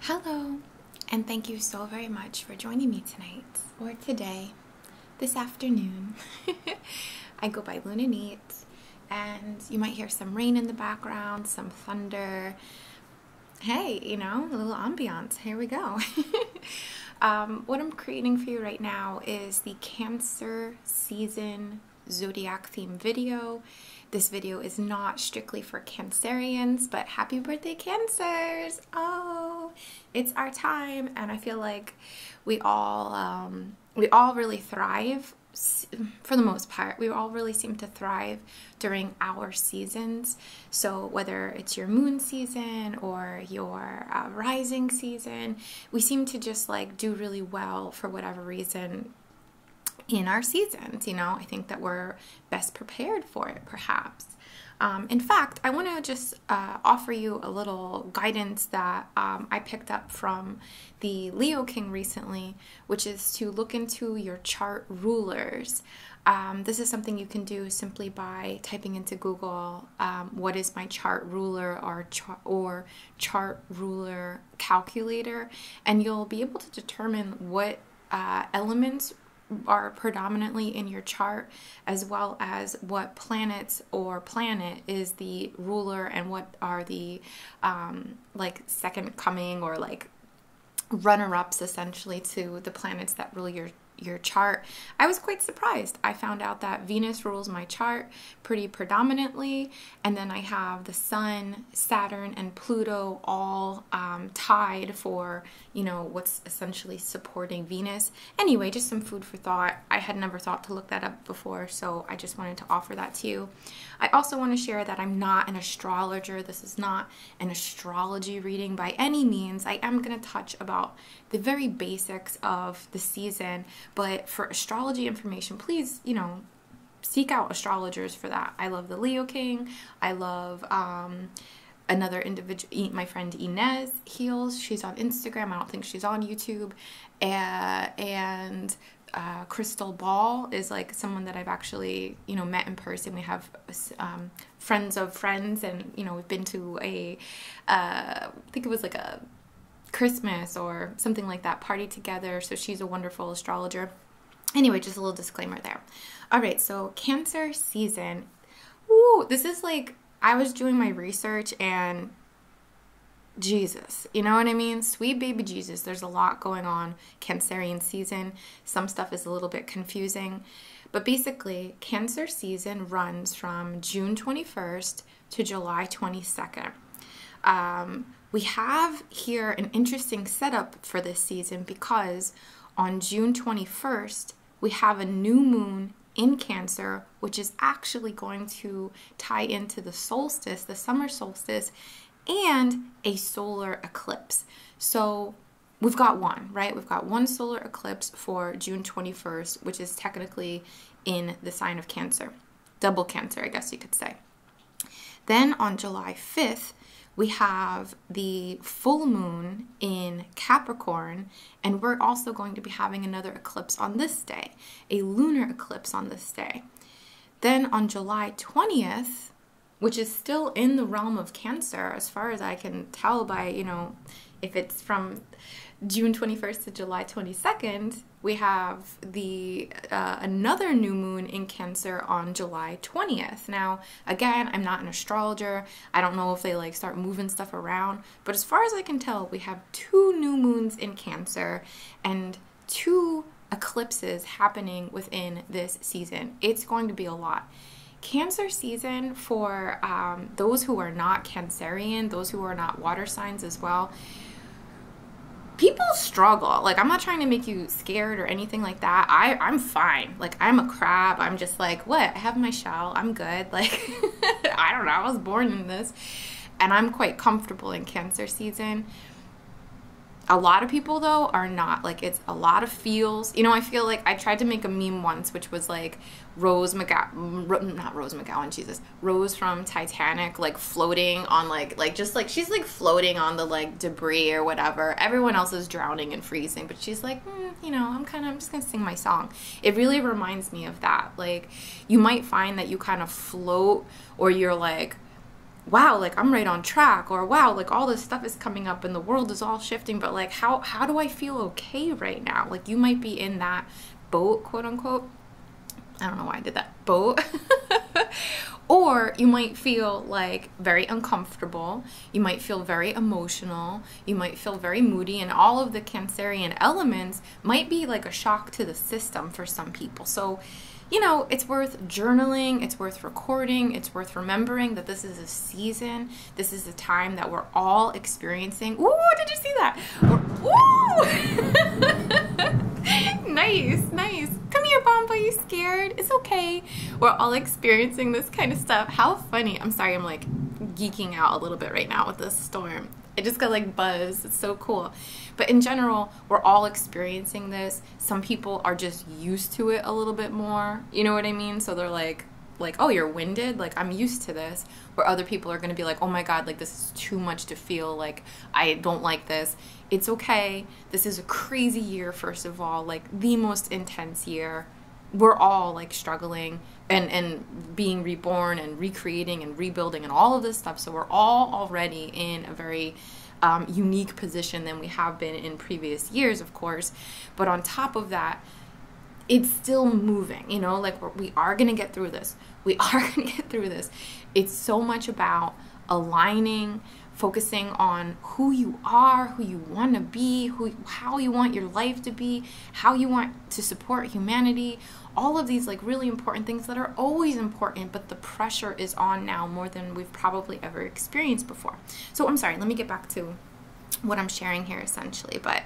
Hello, and thank you so very much for joining me tonight, or today, this afternoon. I go by Luna Neat, and you might hear some rain in the background, some thunder. Hey, you know, a little ambiance. Here we go. Um, what I'm creating for you right now is the Cancer Season Zodiac theme video. This video is not strictly for Cancerians, but happy birthday, Cancers! Oh, it's our time, and I feel like we all um, we all really thrive for the most part, we all really seem to thrive during our seasons. So, whether it's your moon season or your uh, rising season, we seem to just like do really well for whatever reason in our seasons. You know, I think that we're best prepared for it, perhaps. Um, in fact, I want to just uh, offer you a little guidance that um, I picked up from the Leo King recently, which is to look into your chart rulers. Um, this is something you can do simply by typing into Google what is my chart ruler or, or chart ruler calculator, and you'll be able to determine what uh, elements are predominantly in your chart, as well as what planets or planet is the ruler and what are the um, like second coming or like runner ups essentially to the planets that rule your your chart. I was quite surprised. I found out that Venus rules my chart pretty predominantly, and then I have the Sun, Saturn, and Pluto all um, tied for you know, what's essentially supporting Venus. Anyway, just some food for thought. I had never thought to look that up before, so I just wanted to offer that to you. I also want to share that I'm not an astrologer. This is not an astrology reading by any means. I am going to touch about the very basics of the season, but for astrology information, please, you know, seek out astrologers for that. I love the Leo King. I love um, another individual, my friend Inez Heels. She's on Instagram. I don't think she's on YouTube. and uh, Crystal Ball is like someone that I've actually, you know, met in person. We have um, friends of friends, and you know, we've been to a, uh, I think it was like a Christmas or something like that party together. So she's a wonderful astrologer. Anyway, just a little disclaimer there. All right, so Cancer season. Ooh, this is like I was doing my research and Jesus. You know what I mean? Sweet baby Jesus. There's a lot going on Cancerian season. Some stuff is a little bit confusing. But basically, Cancer season runs from June 21st to July 22nd. Um, we have here an interesting setup for this season because on June 21st, we have a new moon in Cancer, which is actually going to tie into the solstice, the summer solstice, and a solar eclipse. So we've got one, right? We've got one solar eclipse for June 21st, which is technically in the sign of Cancer, double Cancer, I guess you could say. Then on July 5th, we have the full moon in Capricorn, and we're also going to be having another eclipse on this day, a lunar eclipse on this day. Then on July 20th, which is still in the realm of Cancer, as far as I can tell by, you know, if it's from June 21st to July 22nd, we have the uh, another new moon in Cancer on July 20th. Now, Again, I'm not an astrologer. I don't know if they like start moving stuff around, but as far as I can tell, we have two new moons in Cancer and two eclipses happening within this season. It's going to be a lot. Cancer season for um, those who are not Cancerian, those who are not water signs as well, people struggle. Like, I'm not trying to make you scared or anything like that. I, I'm fine. Like, I'm a crab. I'm just like, what? I have my shawl. I'm good. Like, I don't know. I was born in this. And I'm quite comfortable in cancer season. A lot of people, though, are not. Like, it's a lot of feels. You know, I feel like I tried to make a meme once, which was like Rose McGowan, mm, not Rose McGowan, Jesus, Rose from Titanic, like floating on, like, like just like she's like floating on the like debris or whatever. Everyone else is drowning and freezing, but she's like, Hmm, you know, I'm kind of, I'm just going to sing my song. It really reminds me of that. Like, you might find that you kind of float or you're like, wow like i'm right on track or wow like all this stuff is coming up and the world is all shifting but like how how do i feel okay right now like you might be in that boat quote unquote i don't know why i did that boat or you might feel like very uncomfortable. You might feel very emotional. You might feel very moody. And all of the Cancerian elements might be like a shock to the system for some people. So, you know, it's worth journaling, it's worth recording, it's worth remembering that this is a season, this is a time that we're all experiencing. Ooh, did you see that? Ooh! nice, nice. Come here, Bomba, you scared? It's okay. We're all experiencing this kind of stuff. How funny. I'm sorry, I'm like geeking out a little bit right now with this storm. It just got like buzz. It's so cool. But in general, we're all experiencing this. Some people are just used to it a little bit more. You know what I mean? So they're like, like, oh, you're winded. Like I'm used to this. Where other people are going to be like, oh my god, like this is too much to feel. Like I don't like this. It's okay. This is a crazy year. First of all, like the most intense year we're all like struggling and and being reborn and recreating and rebuilding and all of this stuff so we're all already in a very um, unique position than we have been in previous years of course but on top of that it's still moving you know like we are going to get through this we are going to get through this it's so much about aligning focusing on who you are, who you want to be, who how you want your life to be, how you want to support humanity, all of these like really important things that are always important, but the pressure is on now more than we've probably ever experienced before. So I'm sorry, let me get back to what I'm sharing here essentially, but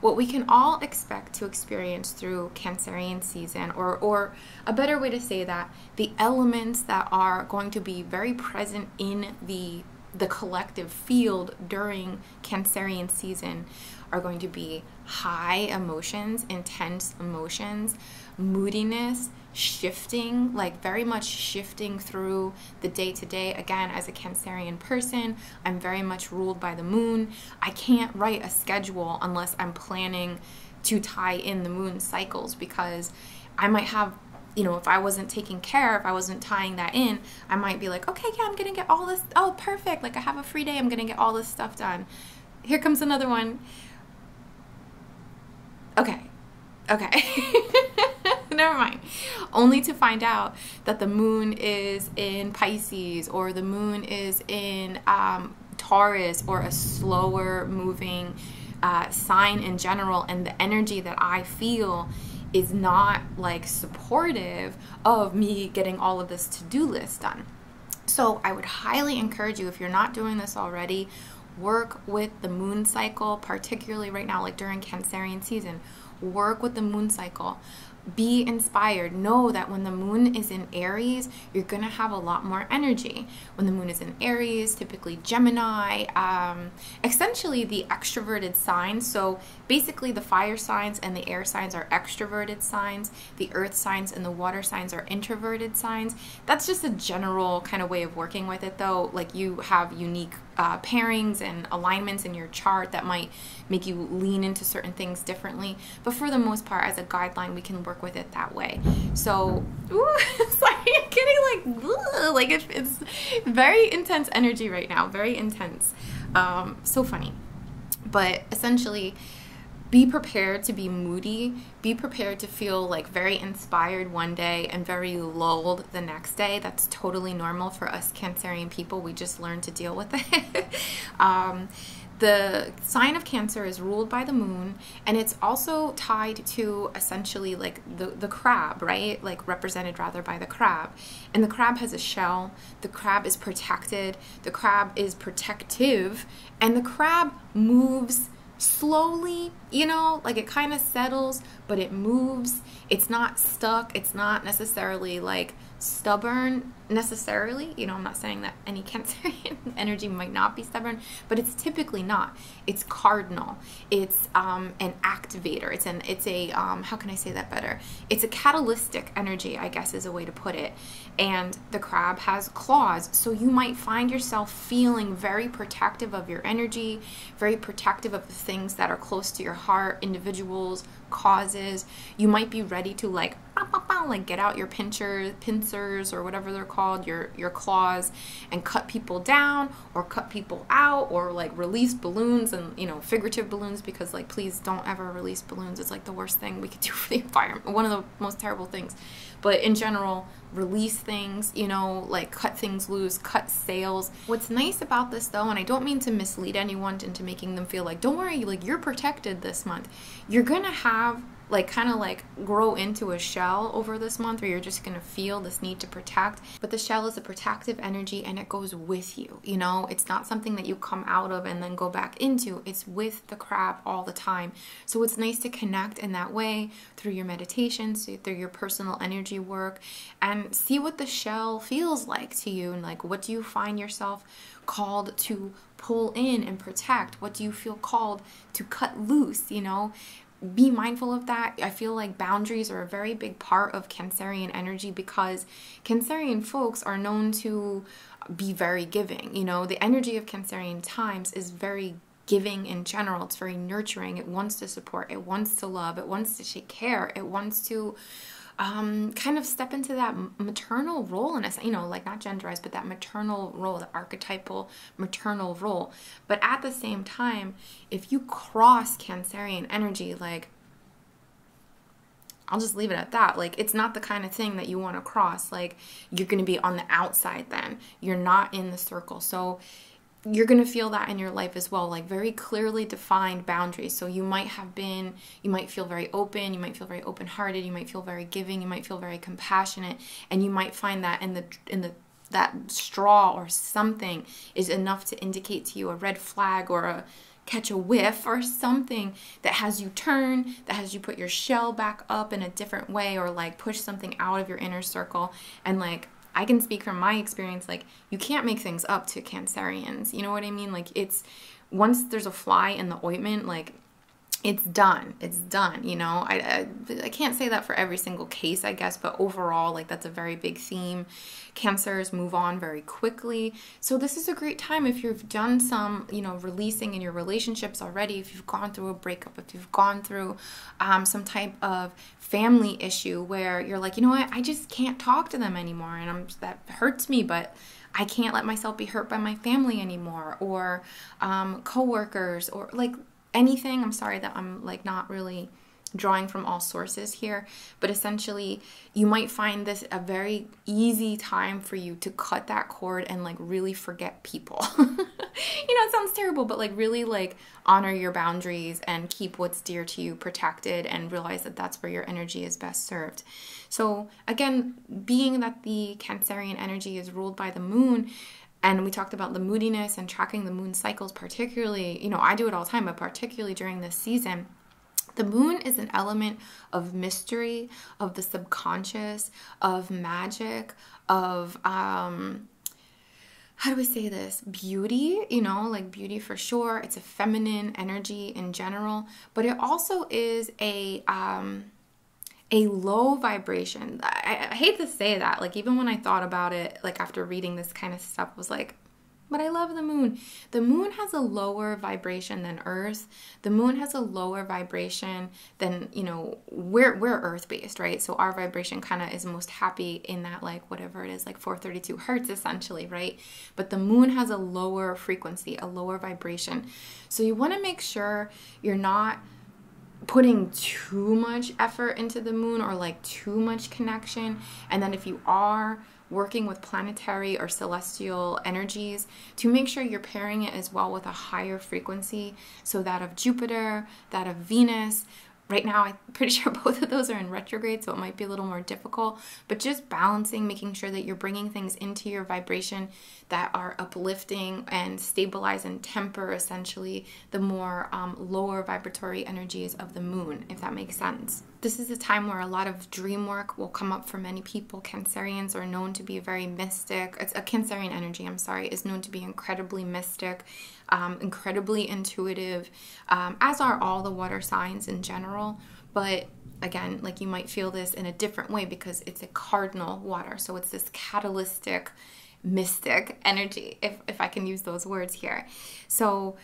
what we can all expect to experience through Cancerian season, or, or a better way to say that, the elements that are going to be very present in the the collective field during Cancerian season are going to be high emotions, intense emotions, moodiness, shifting, like very much shifting through the day to day. Again, as a Cancerian person, I'm very much ruled by the moon. I can't write a schedule unless I'm planning to tie in the moon cycles because I might have you know, if I wasn't taking care, if I wasn't tying that in, I might be like, okay, yeah, I'm gonna get all this. Oh, perfect. Like, I have a free day, I'm gonna get all this stuff done. Here comes another one. Okay, okay. Never mind. Only to find out that the moon is in Pisces or the moon is in um, Taurus or a slower moving. Uh, sign in general and the energy that I feel is not like supportive of me getting all of this to do list done. So I would highly encourage you if you're not doing this already, work with the moon cycle, particularly right now, like during Cancerian season. Work with the moon cycle. Be inspired. Know that when the moon is in Aries, you're going to have a lot more energy. When the moon is in Aries, typically Gemini, um, essentially the extroverted signs. So basically, the fire signs and the air signs are extroverted signs, the earth signs and the water signs are introverted signs. That's just a general kind of way of working with it, though. Like you have unique uh, pairings and alignments in your chart that might make you lean into certain things differently. But for the most part, as a guideline, we can work with it that way. So, ooh, it's like getting like, like it, very intense energy right now, very intense. Um, so funny. But essentially, be prepared to be moody. Be prepared to feel like very inspired one day and very lulled the next day. That's totally normal for us Cancerian people. We just learn to deal with it. Um, the sign of Cancer is ruled by the moon and it's also tied to essentially like the, the crab, right? Like represented rather by the crab. And the crab has a shell. The crab is protected. The crab is protective. And the crab moves slowly, you know, like it kind of settles, but it moves. It's not stuck. It's not necessarily like stubborn necessarily. You know, I'm not saying that any Cancerian energy might not be stubborn, but it's typically not. It's cardinal. It's um, an activator. It's an it's a um, how can I say that better? It's a catalytic energy, I guess, is a way to put it. And the crab has claws, so you might find yourself feeling very protective of your energy, very protective of the things that are close to your heart, individuals, causes. You might be ready to like like get out your pincers, pincers or whatever they're called, your your claws and cut people down or cut people out or like release balloons and you know figurative balloons because like please don't ever release balloons it's like the worst thing we could do for the environment one of the most terrible things but in general release things you know like cut things loose cut sales what's nice about this though and i don't mean to mislead anyone into making them feel like don't worry like you're protected this month you're gonna have like kind of like grow into a shell over this month or you're just going to feel this need to protect but the shell is a protective energy and it goes with you. You know, it's not something that you come out of and then go back into. It's with the crab all the time. So it's nice to connect in that way through your meditations, through your personal energy work, and see what the shell feels like to you and like what do you find yourself called to pull in and protect? What do you feel called to cut loose? You know, be mindful of that. I feel like boundaries are a very big part of Cancerian energy because Cancerian folks are known to be very giving. You know, the energy of Cancerian times is very giving in general. It's very nurturing. It wants to support. It wants to love. It wants to take care. It wants to um, kind of step into that maternal role in you know like not genderized but that maternal role the archetypal maternal role but at the same time if you cross cancerian energy like I'll just leave it at that. Like, it's not the kind of thing that you want to cross. Like, you're going to be on the outside then. You're not in the circle. So, you're going to feel that in your life as well, like very clearly defined boundaries. So, you might have been, you might feel very open, you might feel very open hearted, you might feel very giving, you might feel very compassionate, and you might find that in the, in the, that straw or something is enough to indicate to you a red flag or a catch a whiff or something that has you turn, that has you put your shell back up in a different way or like push something out of your inner circle. And like, I can speak from my experience, like, you can't make things up to Cancerians. You know what I mean? Like, it's once there's a fly in the ointment, like, it's done. It's done. You know, I, I, can't say that for every single case, I guess, but overall, like that's a very big theme cancers move on very quickly. So this is a great time if you've done some, you know, releasing in your relationships already, if you've gone through a breakup, if you've gone through um, some type of family issue where you're like, you know what, I just can't talk to them anymore and I'm, that hurts me, but I can't let myself be hurt by my family anymore or um, coworkers or like anything. I'm sorry that I'm like not really drawing from all sources here, but essentially, you might find this a very easy time for you to cut that cord and like really forget people. you know, it sounds terrible, but like really like honor your boundaries and keep what's dear to you protected and realize that that's where your energy is best served. So, again, being that the Cancerian energy is ruled by the moon, and we talked about the moodiness and tracking the moon cycles particularly you know i do it all the time but particularly during this season the moon is an element of mystery, of the subconscious, of magic, of um how do we say this? Beauty, you know, like beauty for sure. It's a feminine energy in general, but it also is a um, a low vibration. I hate to say that. Like even when I thought about it, like after reading this kind of stuff, was like, but I love the moon. The moon has a lower vibration than Earth. The moon has a lower vibration than, you know, we're we're earth based, right? So our vibration kind of is most happy in that like whatever it is, like 432 hertz essentially, right? But the moon has a lower frequency, a lower vibration. So you want to make sure you're not putting too much effort into the moon or like too much connection. And then if you are, working with planetary or celestial energies to make sure you're pairing it as well with a higher frequency. So, that of Jupiter, that of Venus. Right now, I'm pretty sure both of those are in retrograde, so it might be a little more difficult. But just balancing, making sure that you're bringing things into your vibration that are uplifting and stabilize and temper essentially the more um, lower vibratory energies of the moon, if that makes sense this is a time where a lot of dream work will come up for many people. Cancerians are known to be very mystic. It's a Cancerian energy, I'm sorry, is known to be incredibly mystic, um, incredibly intuitive, um, as are all the water signs in general. But again, like you might feel this in a different way because it's a cardinal water. So it's this catalytic, mystic energy, if, if I can use those words here. So,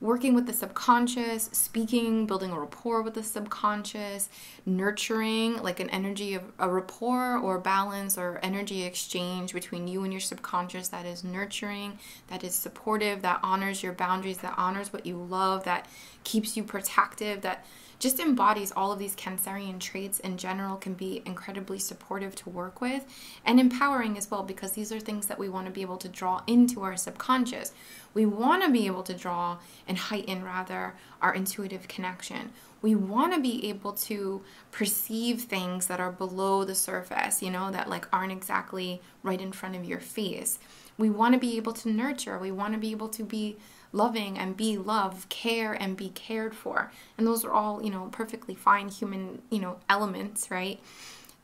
working with the subconscious, speaking, building a rapport with the subconscious, nurturing like an energy of a rapport or balance or energy exchange between you and your subconscious that is nurturing, that is supportive, that honors your boundaries, that honors what you love, that keeps you protective, that just embodies all of these Cancerian traits in general, can be incredibly supportive to work with and empowering as well, because these are things that we want to be able to draw into our subconscious. We want to be able to draw and heighten, rather, our intuitive connection. We want to be able to perceive things that are below the surface, you know, that like aren't exactly right in front of your face. We want to be able to nurture. We want to be able to be loving and be loved, care and be cared for. And those are all, you know, perfectly fine human, you know, elements, right?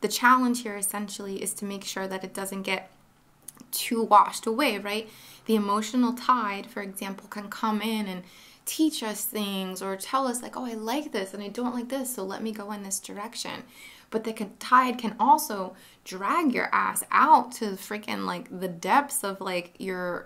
the challenge here essentially is to make sure that it doesn't get too washed away, right? The emotional tide, for example, can come in and teach us things or tell us like, oh, I like this and I don't like this, so let me go in this direction. But the tide can also drag your ass out to freaking like the depths of like your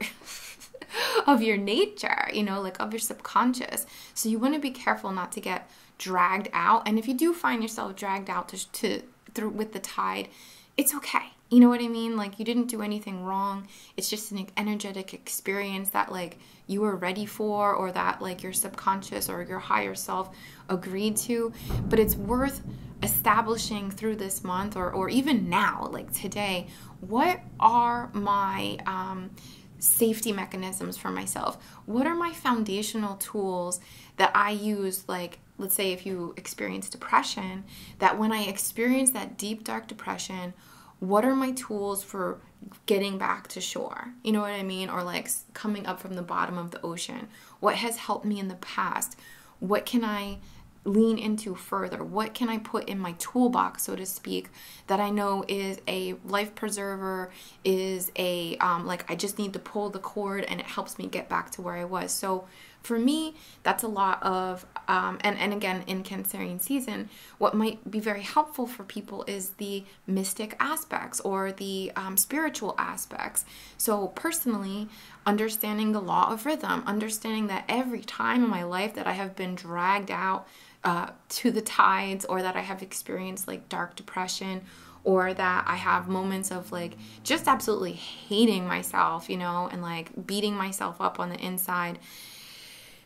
of your nature, you know, like of your subconscious. So you want to be careful not to get dragged out. And if you do find yourself dragged out to, through with the tide, it's okay. You know what I mean? Like you didn't do anything wrong. It's just an energetic experience that like you were ready for or that like your subconscious or your higher self agreed to, but it's worth establishing through this month or or even now, like today, what are my um safety mechanisms for myself? What are my foundational tools that I use, like let's say if you experience depression, that when I experience that deep, dark depression, what are my tools for getting back to shore? You know what I mean? Or like coming up from the bottom of the ocean. What has helped me in the past? What can I lean into further? What can I put in my toolbox, so to speak, that I know is a life preserver, is a um, like I just need to pull the cord and it helps me get back to where I was. So for me, that's a lot of um, and and again in Cancerian season, what might be very helpful for people is the mystic aspects or the um, spiritual aspects. So personally, understanding the law of rhythm, understanding that every time in my life that I have been dragged out uh, to the tides or that I have experienced like dark depression or that I have moments of like just absolutely hating myself, you know, and like beating myself up on the inside,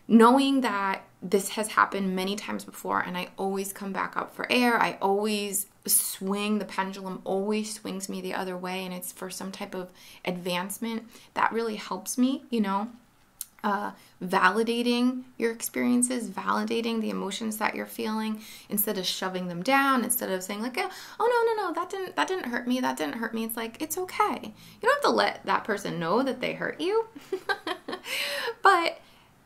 knowing that this has happened many times before and I always come back up for air, I always swing, the pendulum always swings me the other way, and it's for some type of advancement that really helps me, you know. Uh, validating your experiences, validating the emotions that you're feeling, instead of shoving them down, instead of saying like, "Oh no, no, no, that didn't that didn't hurt me. That didn't hurt me." It's like, "It's okay." You don't have to let that person know that they hurt you. but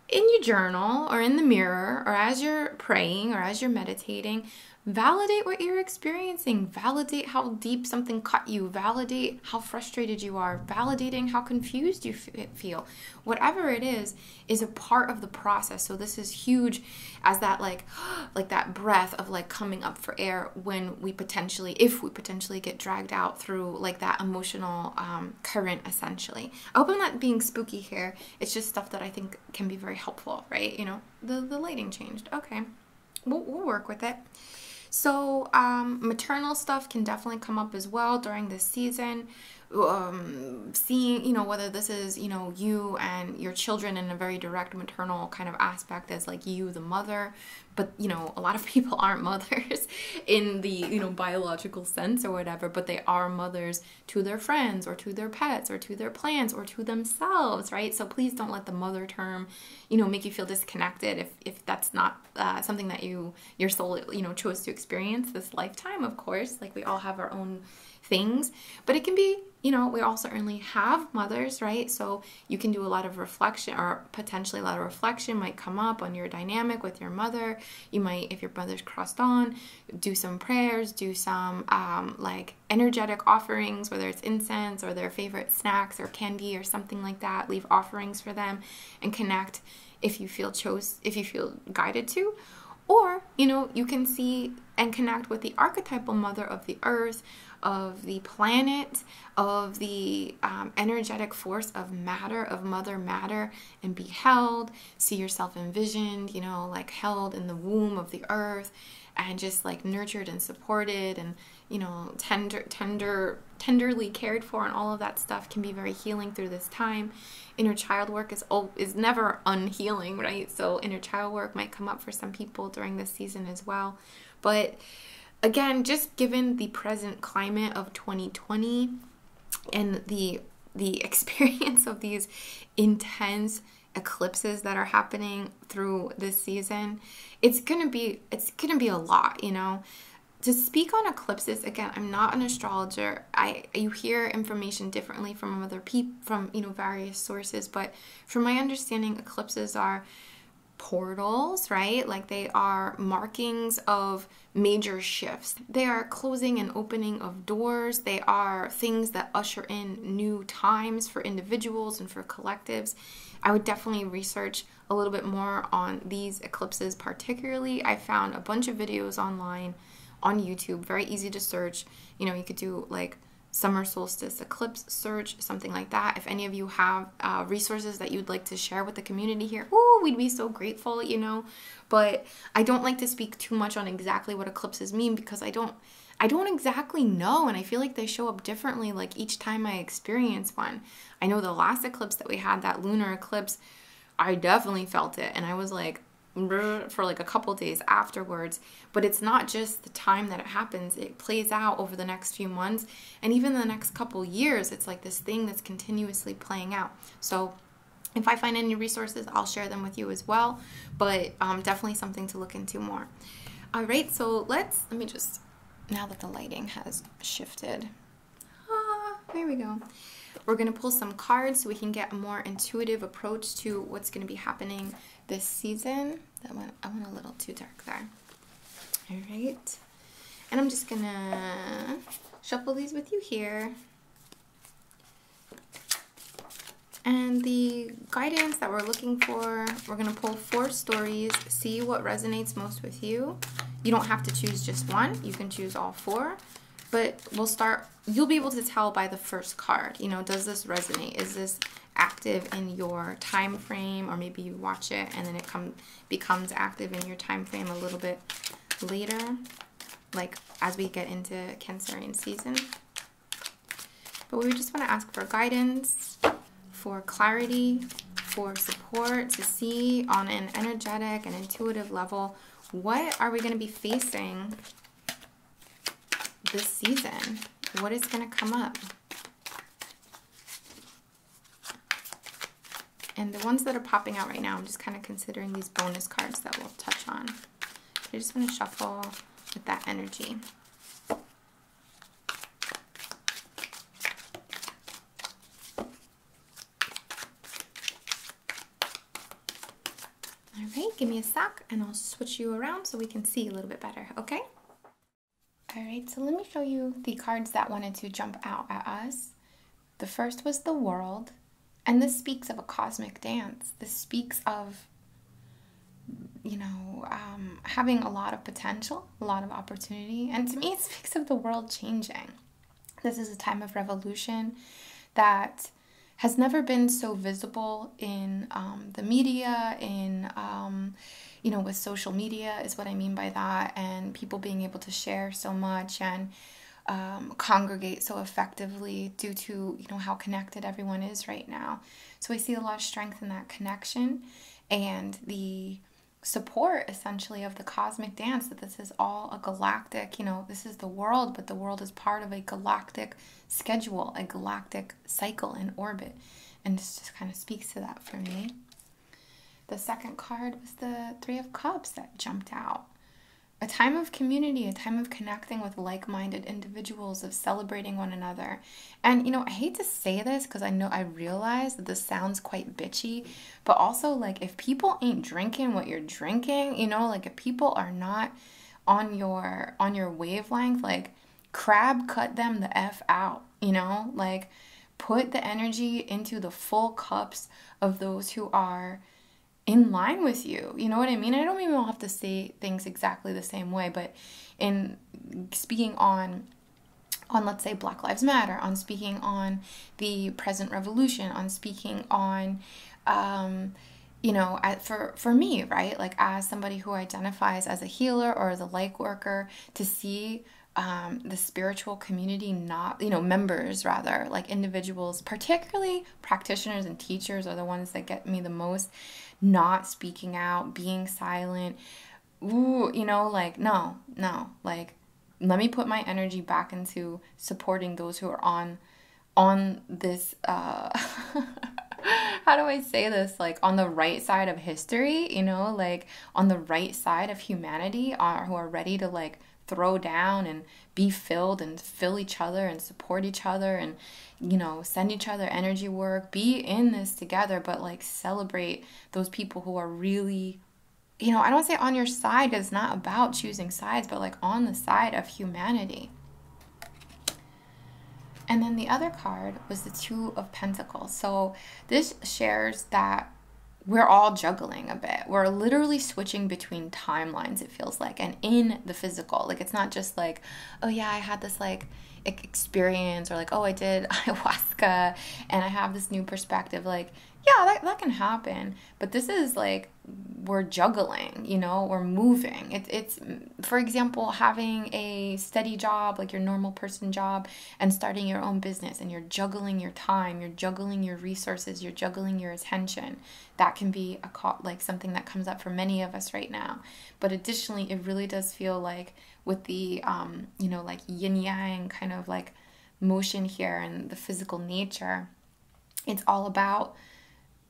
in your journal or in the mirror or as you're praying or as you're meditating, validate what you're experiencing, validate how deep something cut you, validate how frustrated you are, validating how confused you feel. Whatever it is, is a part of the process. So this is huge as that like like that breath of like coming up for air when we potentially if we potentially get dragged out through like that emotional um, current essentially. I hope I'm not being spooky here. It's just stuff that I think can be very helpful, right? You know, the the lighting changed. Okay. We'll, we'll work with it. So, um, maternal stuff can definitely come up as well during this season. Um, seeing, you know, whether this is, you know, you and your children in a very direct maternal kind of aspect as like you, the mother, but, you know, a lot of people aren't mothers in the, you know, biological sense or whatever, but they are mothers to their friends or to their pets or to their plants or to themselves, right? So please don't let the mother term, you know, make you feel disconnected if, if that's not uh, something that you, your soul, you know, chose to experience this lifetime, of course. Like we all have our own things. But it can be, you know, we all certainly have mothers, right? So you can do a lot of reflection or potentially a lot of reflection might come up on your dynamic with your mother. You might, if your mother's crossed on, do some prayers, do some um, like energetic offerings, whether it's incense or their favorite snacks or candy or something like that. Leave offerings for them and connect if you feel chose if you feel guided to or, you know, you can see and connect with the archetypal mother of the earth, of the planet, of the um, energetic force of matter, of mother matter, and be held. See yourself envisioned, you know, like held in the womb of the earth and just like nurtured and supported and, you know, tender, tender, tenderly cared for and all of that stuff can be very healing through this time inner child work is oh, is never unhealing, right? So inner child work might come up for some people during this season as well. But again, just given the present climate of 2020 and the the experience of these intense eclipses that are happening through this season, it's going to be it's going to be a lot, you know to speak on eclipses again i'm not an astrologer you hear information differently from other people from you know various sources, but from my understanding, eclipses are portals, right? Like they are markings of major shifts. They are closing and opening of doors. They are things that usher in new times for individuals and for collectives. I would definitely research a little bit more on these eclipses, particularly. I found a bunch of videos online on YouTube. Very easy to search. You know, you could do like summer solstice eclipse search, something like that. If any of you have uh, resources that you'd like to share with the community here, oh, we'd be so grateful, you know. But I don't like to speak too much on exactly what eclipses mean because I don't. I don't exactly know, and I feel like they show up differently like each time I experience one. I know the last eclipse that we had, that lunar eclipse, I definitely felt it. And I was like, for like a couple days afterwards. But it's not just the time that it happens, it plays out over the next few months and even the next couple years. It's like this thing that's continuously playing out. So, if I find any resources, I'll share them with you as well, but um, definitely something to look into more. All right, so let's, let me just, now that the lighting has shifted, ah, there we go. We're going to pull some cards so we can get a more intuitive approach to what's going to be happening this season. That went, I went a little too dark there. All right. And I'm just going to shuffle these with you here. And the guidance that we're looking for, we're going to pull four stories, see what resonates most with you. You don't have to choose just one, you can choose all four, but we'll start you'll be able to tell by the first card, you know, does this resonate? Is this active in your time frame? Or maybe you watch it and then it comes, becomes active in your time frame a little bit later, like as we get into Cancerian season. But we just want to ask for guidance, for clarity, for support, to see on an energetic and intuitive level what are we going to be facing this season. What is going to come up? And the ones that are popping out right now, I'm just kind of considering these bonus cards that we'll touch on. But I just want to shuffle with that energy. All right, give me a sock and I'll switch you around so we can see a little bit better, okay? All right, so let me show you the cards that wanted to jump out at us. The first was the world, and this speaks of a cosmic dance. This speaks of, you know, um, having a lot of potential, a lot of opportunity, and to me, it speaks of the world changing. This is a time of revolution that has never been so visible in um, the media, in, um, you know, with social media, is what I mean by that, and people being able to share so much and um, congregate so effectively due to, you know, how connected everyone is right now. So I see a lot of strength in that connection and the support essentially of the cosmic dance that this is all a galactic, you know, this is the world, but the world is part of a galactic schedule a galactic cycle and orbit. And this just kind of speaks to that for me. The second card was the Three of Cups that jumped out. A time of community, a time of connecting with like minded individuals, of celebrating one another. And, you know, I hate to say this because I know I realize this sounds quite bitchy, but also, like, if people ain't drinking what you're drinking, you know, like, if people are not on your on your wavelength like crab cut them the f out you know like put the energy into the full cups of those who are in line with you you know what i mean i don't even have to say things exactly the same way but in speaking on on let's say black lives matter on speaking on the present revolution on speaking on um, you know, for for me, right? Like as somebody who identifies as a healer or as a light worker, to see um, the spiritual community not you know members rather like individuals particularly practitioners and teachers are the ones that get me the most not speaking out being silent ooh you know like no no like let me put my energy back into supporting those who are on on this uh how do I say this? Like on the right side of history, you know, like on the right side of humanity are who are ready to like throw down and be filled and fill each other and support each other and you know send each other energy work be in this together but like celebrate those people who are really you know i don't say on your side it's not about choosing sides but like on the side of humanity and then the other card was the Two of Pentacles. So this shares that we're all juggling a bit. We're literally switching between timelines, it feels like, and in the physical. Like, it's not just like, oh, yeah, I had this like experience, or like, oh, I did ayahuasca and I have this new perspective. Like, yeah, that, can happen. But this is like we're juggling, you know, we're moving. It, it's, for example, having a steady job, like your normal person job, and starting your own business, and you're juggling your time, you're juggling your resources, you're juggling your attention. That can be a call, like something that comes up for many of us right now. But additionally, it really does feel like with the, um, you know, like yin yang kind of like motion here and the physical nature, it's all about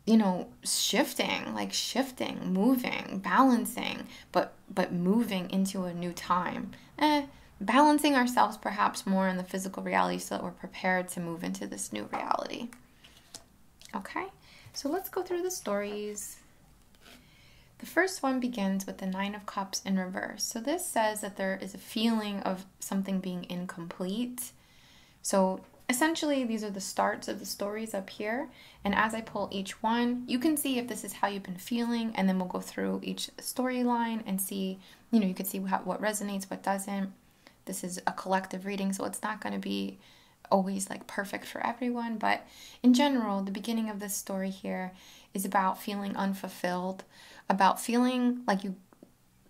you know shifting like shifting moving balancing but but moving into a new time eh, balancing ourselves perhaps more in the physical reality so that we're prepared to move into this new reality okay so let's go through the stories the first one begins with the Nine of Cups in reverse. So, this says that there is a feeling of something being incomplete, so essentially, these are the starts of the stories up here. And as I pull each one, you can see if this is how you've been feeling. And then we'll go through each storyline and see, you know, you can see what resonates, what doesn't. This is a collective reading, so it's not going to be always like perfect for everyone. But in general, the beginning of this story here is about feeling unfulfilled, about feeling like you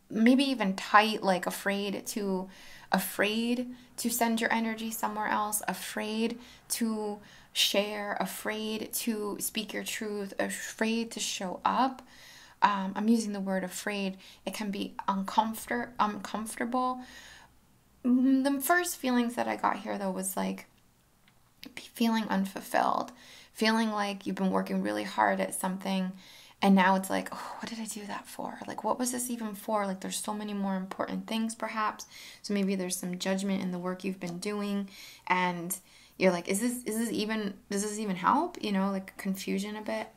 maybe even tight, like afraid to afraid to send your energy somewhere else, afraid to share, afraid to speak your truth, afraid to show up. Um, I'm using the word afraid. It can be uncomfort- uncomfortable. Mm, the first feelings that I got here, though, was like feeling unfulfilled, feeling like you've been working really hard at something and now it's like, oh, what did I do that for? Like, what was this even for? Like, there's so many more important things, perhaps. So maybe there's some judgment in the work you've been doing, and you're like, is this is this even does this even help? You know, like confusion a bit.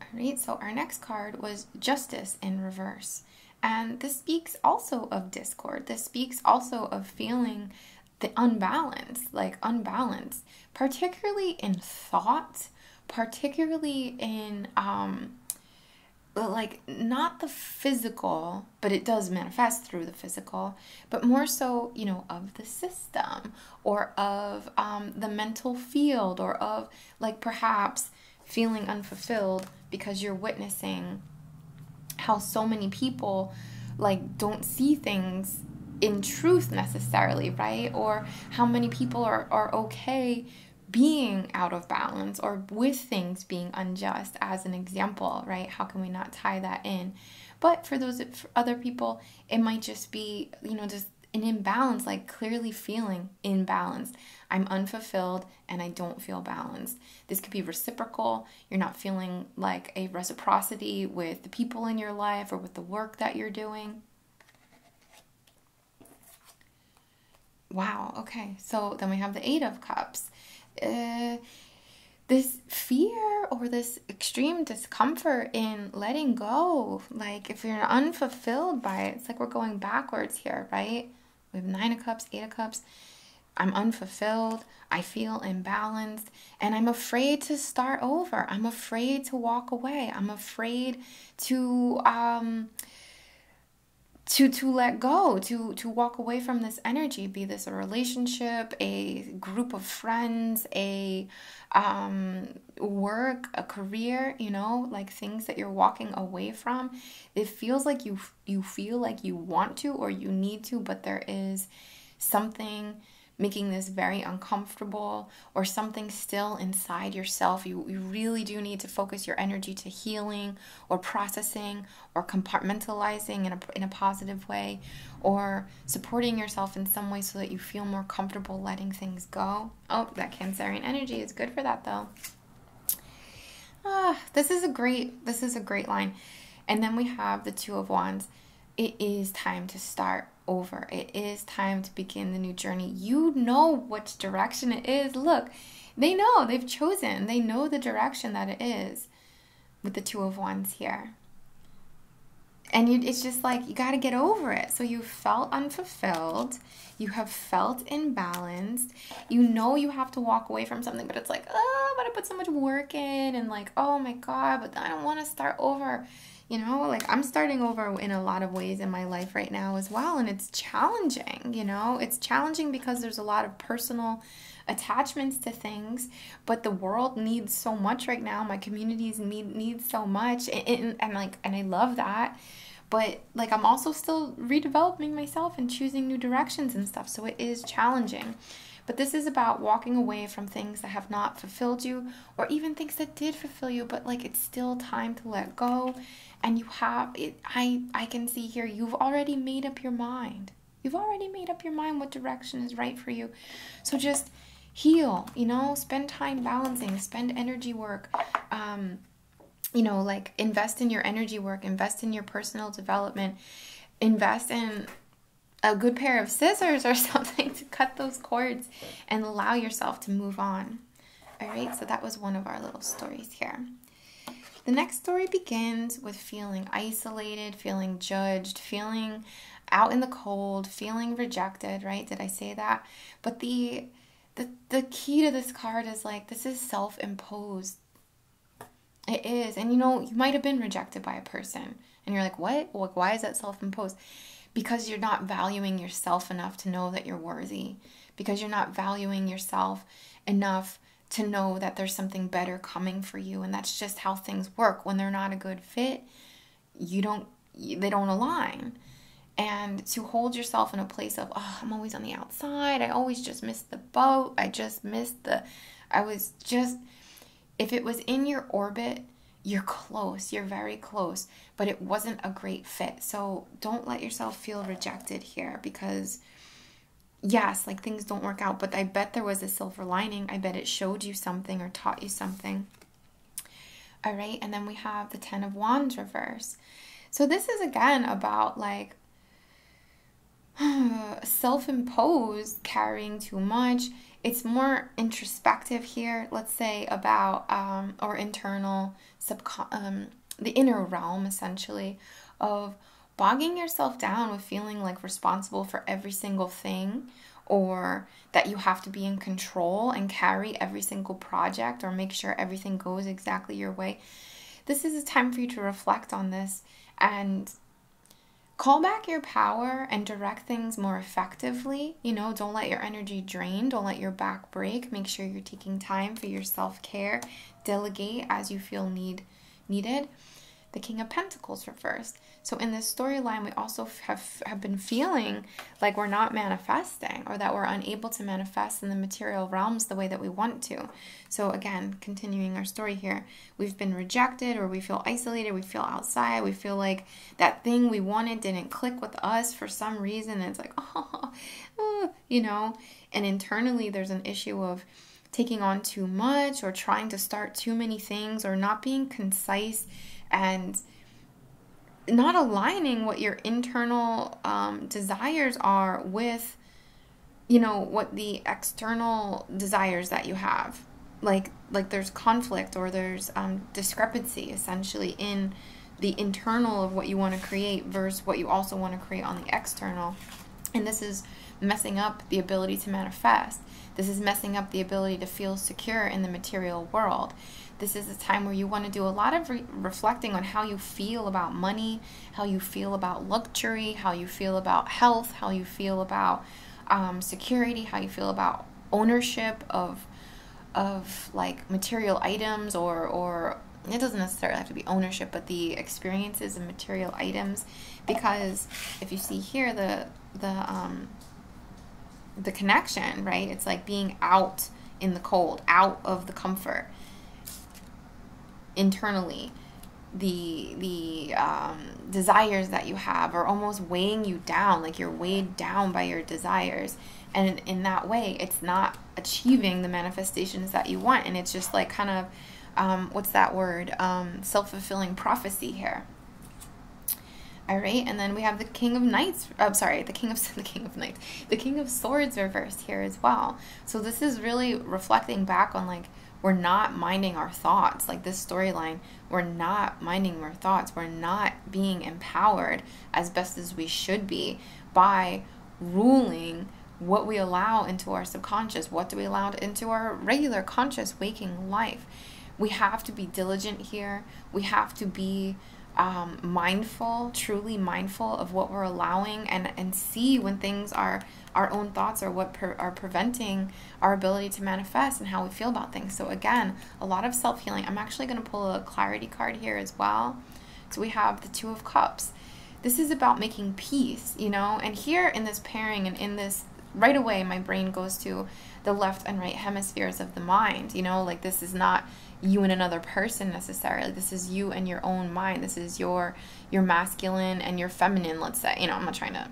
All right. So our next card was Justice in Reverse, and this speaks also of discord. This speaks also of feeling the unbalanced, like unbalanced, particularly in thought, particularly in um like not the physical, but it does manifest through the physical, but more so, you know, of the system or of um, the mental field or of like perhaps feeling unfulfilled because you're witnessing how so many people like don't see things in truth necessarily, right? Or how many people are, are okay being out of balance or with things being unjust as an example, right? How can we not tie that in? But for those other people, it might just be, you know, just an imbalance, like clearly feeling imbalanced. I'm unfulfilled and I don't feel balanced. This could be reciprocal. You're not feeling like a reciprocity with the people in your life or with the work that you're doing. Wow, okay. So then we have the Eight of Cups. Uh, this fear or this extreme discomfort in letting go, like if you're unfulfilled by it, it's like we're going backwards here, right? We have Nine of Cups, Eight of Cups. I'm unfulfilled. I feel imbalanced. And I'm afraid to start over. I'm afraid to walk away. I'm afraid to um, to to let go to to walk away from this energy be this a relationship a group of friends a um, work a career you know like things that you're walking away from it feels like you you feel like you want to or you need to but there is something making this very uncomfortable or something still in inside yourself. You, really do need to focus your energy to healing or processing or compartmentalizing in a, in a positive way or supporting yourself in some way so that you feel more comfortable letting things go. Oh, that Cancerian energy is good for that though. Ah, this is a great this is a great line. And then we have the 2 of wands. It is time to start over. It is time to begin the new journey. You know which direction it is. Look, they know they've chosen they know the direction that it is with the two of wands here and it's just like you got to get over it so you felt unfulfilled you have felt imbalanced you know you have to walk away from something but it's like oh but i put so much work in and like oh my god but i don't want to start over you know like i'm starting over in a lot of ways in my life right now as well and it's challenging, you know? It's challenging because there's a lot of personal attachments to things, but the world needs so much right now. My communities need need so much and like and I love that. But like I'm also still redeveloping myself and choosing new directions and stuff, so it is challenging. But this is about walking away from things that have not fulfilled you, or even things that did fulfill you, but like it's still time to let go and you have it, i i can see here you've already made up your mind you've already made up your mind what direction is right for you so just heal you know spend time balancing spend energy work um you know like invest in your energy work invest in your personal development invest in a good pair of scissors or something to cut those cords and allow yourself to move on all right, so that was one of our little stories here. The next story begins with feeling isolated, feeling judged, feeling out in the cold, feeling rejected, right? Did I say that? But the the, the key to this card is like this is self-imposed. It is. And you know, you might have been rejected by a person and you're like, "What? Like why is that self-imposed?" Because you're not valuing yourself enough to know that you're worthy because you're not valuing yourself enough to know that there's something better coming for you and that's just how things work when they're not a good fit you don't they don't align and to hold yourself in a place of oh, i'm always on the outside i always just missed the boat i just missed the i was just if it was in your orbit you're close you're very close but it wasn't a great fit so don't let yourself feel rejected here because, yes, like things don't work out, but I bet there was a silver lining. I bet it showed you something or taught you something. All right, and then we have the Ten of Wands reverse. So this is again about like self imposed, carrying too much. It's more introspective here, let's say, about um, or internal subcon. Um, the inner realm essentially of bogging yourself down with feeling like responsible for every single thing or that you have to be in control and carry every single project or make sure everything goes exactly your way. This is a time for you to reflect on this and call back your power and direct things more effectively. You know, don't let your energy drain, don't let your back break. Make sure you're taking time for your self care delegate as you feel need needed. The King of Pentacles reversed. So in this storyline, we also have have been feeling like we're not manifesting, or that we're unable to manifest in the material realms the way that we want to. So again, continuing our story here, we've been rejected, or we feel isolated, we feel outside, we feel like that thing we wanted didn't click with us for some reason. it's like, oh, oh you know? And internally, there's an issue of taking on too much or trying to start too many things or not being concise and not aligning what your internal um, desires are with you know what the external desires that you have like like there's conflict or there's um, discrepancy essentially in the internal of what you want to create versus what you also want to create on the external. And this is messing up the ability to manifest. This is messing up the ability to feel secure in the material world. This is a time where you want to do a lot of reflecting on how you feel about money, how you feel about luxury, how you feel about health, how you feel about um, security, how you feel about ownership of of like material items or or it doesn't necessarily have to be ownership, but the experiences and material items, because if you see here the the um, the connection, right? It's like being out in the cold, out of the comfort internally. The the um, desires that you have are almost weighing you down, like you're weighed down by your desires, and in that way, it's not achieving the manifestations that you want. And it's just like kind of, um, what's that word? Um, Self fulfilling prophecy here. All right, and then we have the King of Knights. I'm sorry, the King of the King of Knights, the King of Swords reversed here as well. So this is really reflecting back on like we're not minding our thoughts. Like this storyline, we're not minding our thoughts. We're not being empowered as best as we should be by ruling what we allow into our subconscious, what do we allow into our regular conscious waking life. We have to be diligent here. We have to be um, mindful, truly mindful of what we're allowing, and and see when things are our own thoughts or what are preventing our ability to manifest and how we feel about things. So again, a lot of self healing. I'm actually going to pull a clarity card here as well. So we have the Two of Cups. This is about making peace, you know? And here in this pairing and in this, right away, my brain goes to the left and right hemispheres of the mind, you know? Like this is not you and another person necessarily. This is you and your own mind. This is your your masculine and your feminine, let's say. You know, I'm not trying to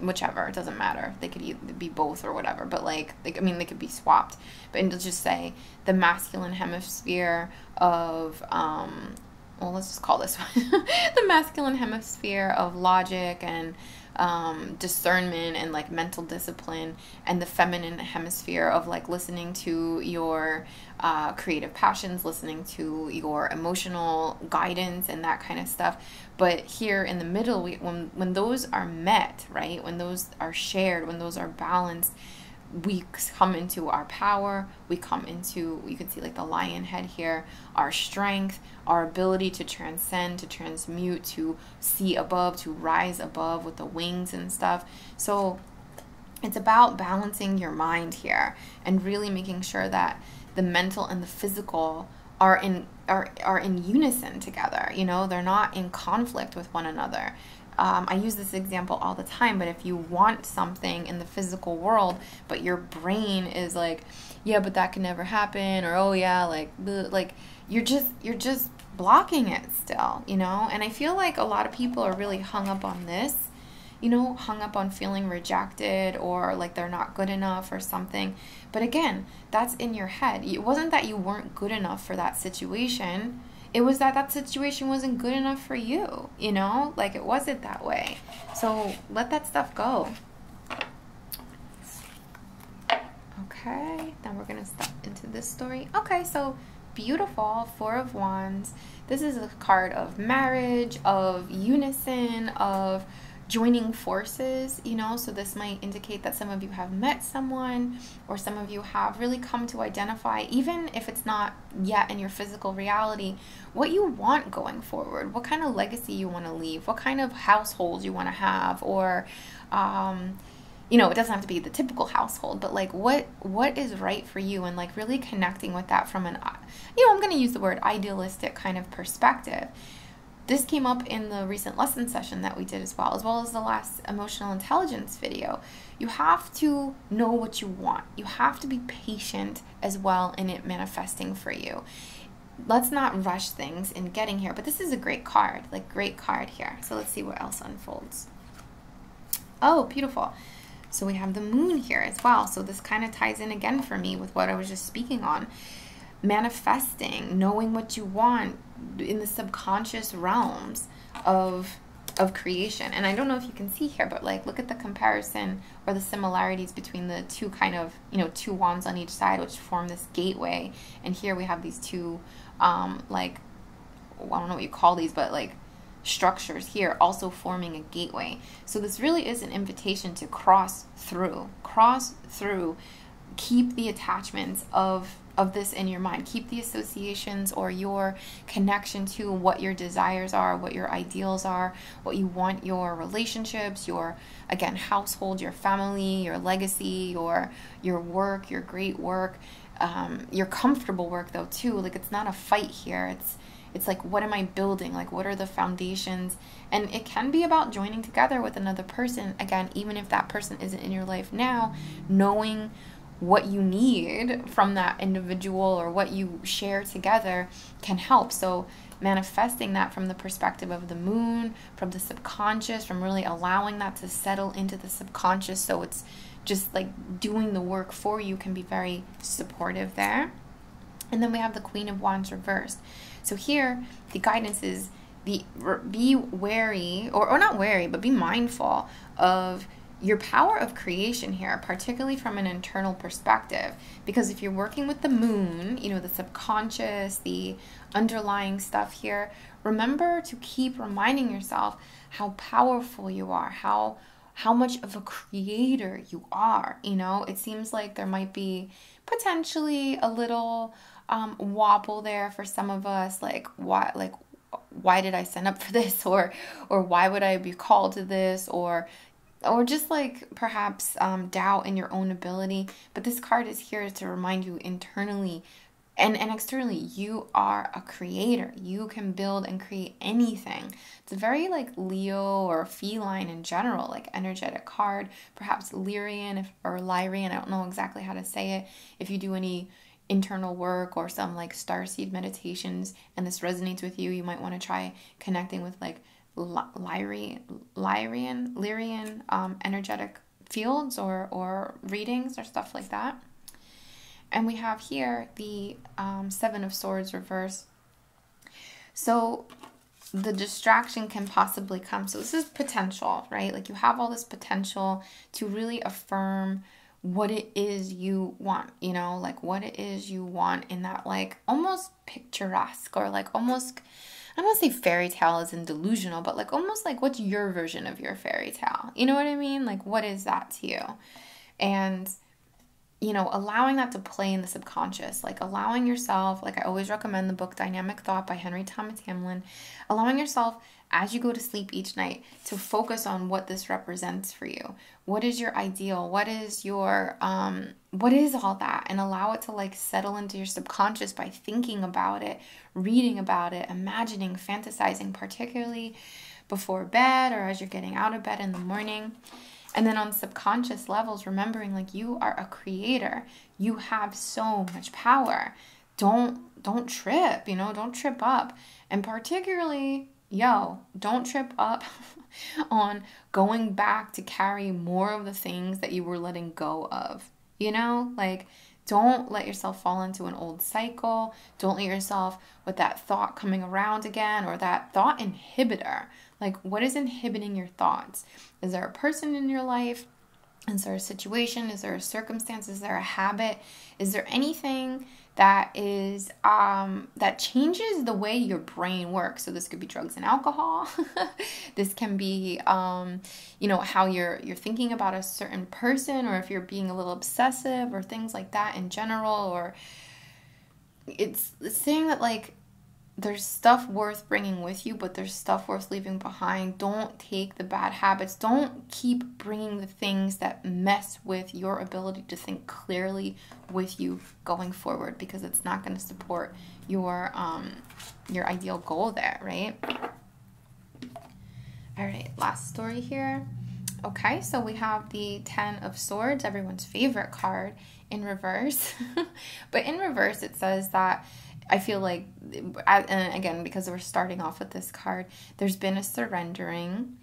whichever it doesn't matter they could be both or whatever but like, like i mean they could be swapped but it just say the masculine hemisphere of um, well, let's just call this one the masculine hemisphere of logic and um, discernment and like mental discipline, and the feminine hemisphere of like listening to your uh, creative passions, listening to your emotional guidance, and that kind of stuff. But here in the middle, we, when when those are met, right? When those are shared, when those are balanced us we come into our power we come into you can see like the lion head here our strength our ability to transcend to transmute to see above to rise above with the wings and stuff so it's about balancing your mind here and really making sure that the mental and the physical are in are, are in unison together you know they're not in conflict with one another um, I use this example all the time, but if you want something in the physical world, but your brain is like, yeah, but that can never happen, or oh yeah, like, like you're just you're just blocking it still, you know. And I feel like a lot of people are really hung up on this, you know, hung up on feeling rejected or like they're not good enough or something. But again, that's in your head. It wasn't that you weren't good enough for that situation. It was that that situation wasn't good enough for you you, know? Like it wasn't that way. So let that stuff go. Okay, then we're gonna step into this story. Okay, so beautiful Four of Wands. This is a card of marriage, of unison, of joining forces, you know, so this might indicate that some of you have met someone or some of you have really come to identify, even if it's not not yet in your physical reality, what you want going forward, what kind of legacy you want to leave, what kind of household you want to have, or, um, you know, it doesn't have to be the typical household, but like what what is right for you, and like really connecting with that from an, uh, you know, I'm going to use the word idealistic kind of perspective. This came up in the recent lesson session that we did as well, as well as the last emotional intelligence video. You have to know what you want. You have to be patient as well in it manifesting for you. Let's not rush things in getting here, but this is a great card, like great card here. So let's see what else unfolds. Oh, beautiful. So we have the moon here as well. So this kind of ties in again for me with what I was just speaking on. Manifesting, knowing what you want in the subconscious realms of of creation. And I don't know if you can see here, but like look at the comparison or the similarities between the two kind of, you know, two wands on each side, which form this gateway. And here we have these two, um, like, I don't know what you call these, but like structures here also forming a gateway. So this really is an invitation to cross through, cross through, keep the attachments of of this in your mind. Keep the associations or your connection to what your desires are, what your ideals are, what you want your relationships, your again household, your family, your legacy, your your work, your great work, um, your comfortable work though too. Like it's not a fight here. It's it's like what am i building like what are the foundations and it can be about joining together with another person again even if that person isn't in your life now knowing what you need from that individual or what you share together can help. So, manifesting that from the perspective of the moon, from the subconscious, from really allowing that to settle into the subconscious. So, it's just like doing the work for you can be very supportive there. And then we have the Queen of Wands reversed. So, here the guidance is be, be wary, or not wary, but be mindful of your power of creation here, particularly from an internal perspective. Because if you're working with the moon, you know, the subconscious, the underlying stuff here, remember to keep reminding yourself how powerful you are, how how much of a creator you are. You know, it seems like there might be potentially a little um, wobble there for some of us, like why? like why did I sign up for this or or why would I be called to this or or just like perhaps um, doubt in your own ability. But this card is here to remind you internally and, externally, you are a creator. You can build and create anything. It's a very like Leo or feline in general, like energetic card, perhaps Lyrian or Lyrian. I don't know exactly how to say it. If you do any internal work or some like star seed meditations and this resonates with you, you might want to try connecting with like Lyrian, Lyrian, Lyrian um, energetic fields or, or readings or stuff like that. And we have here the um, Seven of Swords reverse. So the distraction can possibly come. So this is potential, right? Like you have all this potential to really affirm what it is you want you know, like what it is you want in that like almost picturesque or like almost I don't say fairy tale is in delusional, but like almost like what's your version of your fairy tale? You know what I mean? Like what is that to you? And you know, allowing that to play in the subconscious, like allowing yourself, like I always recommend the book Dynamic Thought by Henry Thomas Hamlin, allowing yourself as you go to sleep each night to focus on what this represents for you what is your ideal what is your um what is all that and allow it to like settle into your subconscious by thinking about it reading about it imagining fantasizing particularly before bed or as you're getting out of bed in the morning and then on subconscious levels remembering like you are a creator you have so much power don't don't trip you know don't trip up and particularly yo, don't trip up on going back to carry more of the things that you were letting go of. You know, like don't let yourself fall into an old cycle. Don't let yourself with that thought coming around again or that thought inhibitor. Like, what is inhibiting your thoughts? Is there a person in your life? Is there a situation? Is there a circumstance? Is there a habit? Is there anything that is um, that changes the way your brain works. So this could be drugs and alcohol. this can be, um, you know, how you're you're thinking about a certain person, or if you're being a little obsessive, or things like that in general. Or it's saying that like there's stuff worth bringing with you, but there's stuff worth leaving behind. Don't take the bad habits. Don't keep bringing the things that mess with your ability to think clearly with you going forward because it's not going to support your um, your ideal goal there, right? All right, last story here. Okay, so we have the Ten of Swords, everyone's favorite card, in reverse. but in reverse, it says that I feel like, and again, because we're starting off with this card, there's been a surrendering.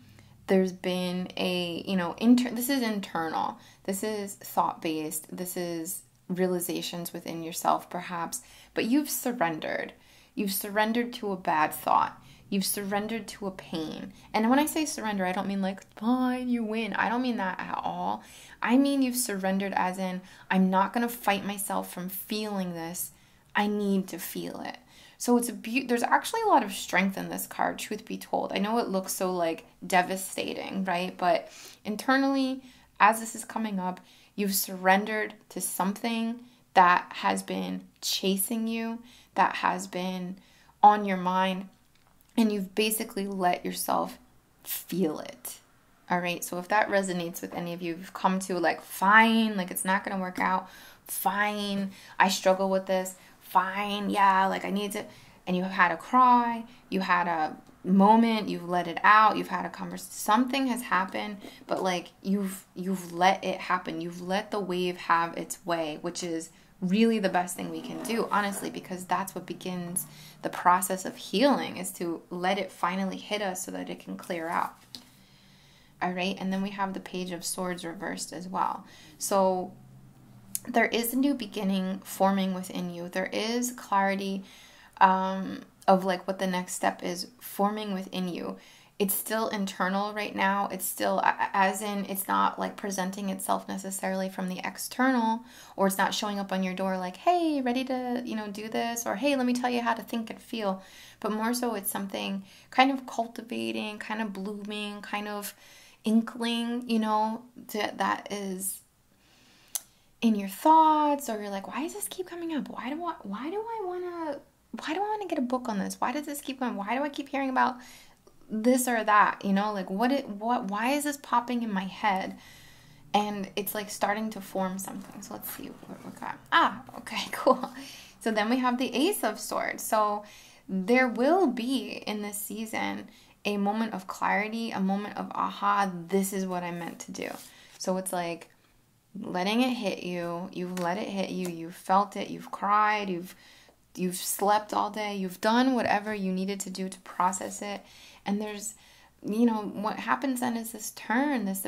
There's been a, you know, inter- this is internal. This is thought based. This is realizations within yourself, perhaps. But you've surrendered. You've surrendered to a bad thought. You've surrendered to a pain. And when I say surrender, I don't mean like, fine, you win. I don't mean that at all. I mean you've surrendered as in, I'm not going to fight myself from feeling this. I need to feel it. So it's a be- there's actually a lot of strength in this card, truth be told. I know it looks so like devastating, right? But internally, as this is coming up, you've surrendered to something that has been chasing you, that has been on your mind, and you've basically let yourself feel it. All right, so if that resonates with any of you, you've come to like, fine, like it's not gonna work out, fine, I struggle with this, fine, yeah, like I need to, and you have had a cry, you had a moment, you've let it out, you've had a conversation, something has happened, but like you've you've let it happen. You've let the wave have its way, which is really the best thing we can do, honestly, because that's what begins the process of healing is to let it finally hit us so that it can clear out. All right, and then we have the page of swords reversed as well. So there is a new beginning forming within you. There is clarity um, of like what the next step is forming within you. It's still internal right now. It's still, as in, it's not like presenting itself necessarily from the external, or it's not showing up on your door like, hey, ready to, you know, do this, or hey, let me tell you how to think and feel. But more so, it's something kind of cultivating, kind of blooming, kind of inkling, you know, to, that is in your thoughts or you're like, why does this keep coming up? Why do I, why do I want to, why do I want to get a book on this? Why does this keep going? Why do I keep hearing about this or that? You know, like what, it, what, why is this popping in my head? And it's like starting to form something. So let's see what we got. Ah, okay, cool. So then we have the Ace of Swords. So there will be in this season a moment of clarity, a moment of aha, this is what I meant to do. So it's like letting it hit you. You've let it hit you. You've felt it. You've cried. You've you've slept all day. You've done whatever you needed to do to process it. And there's you know what happens then is this turn, this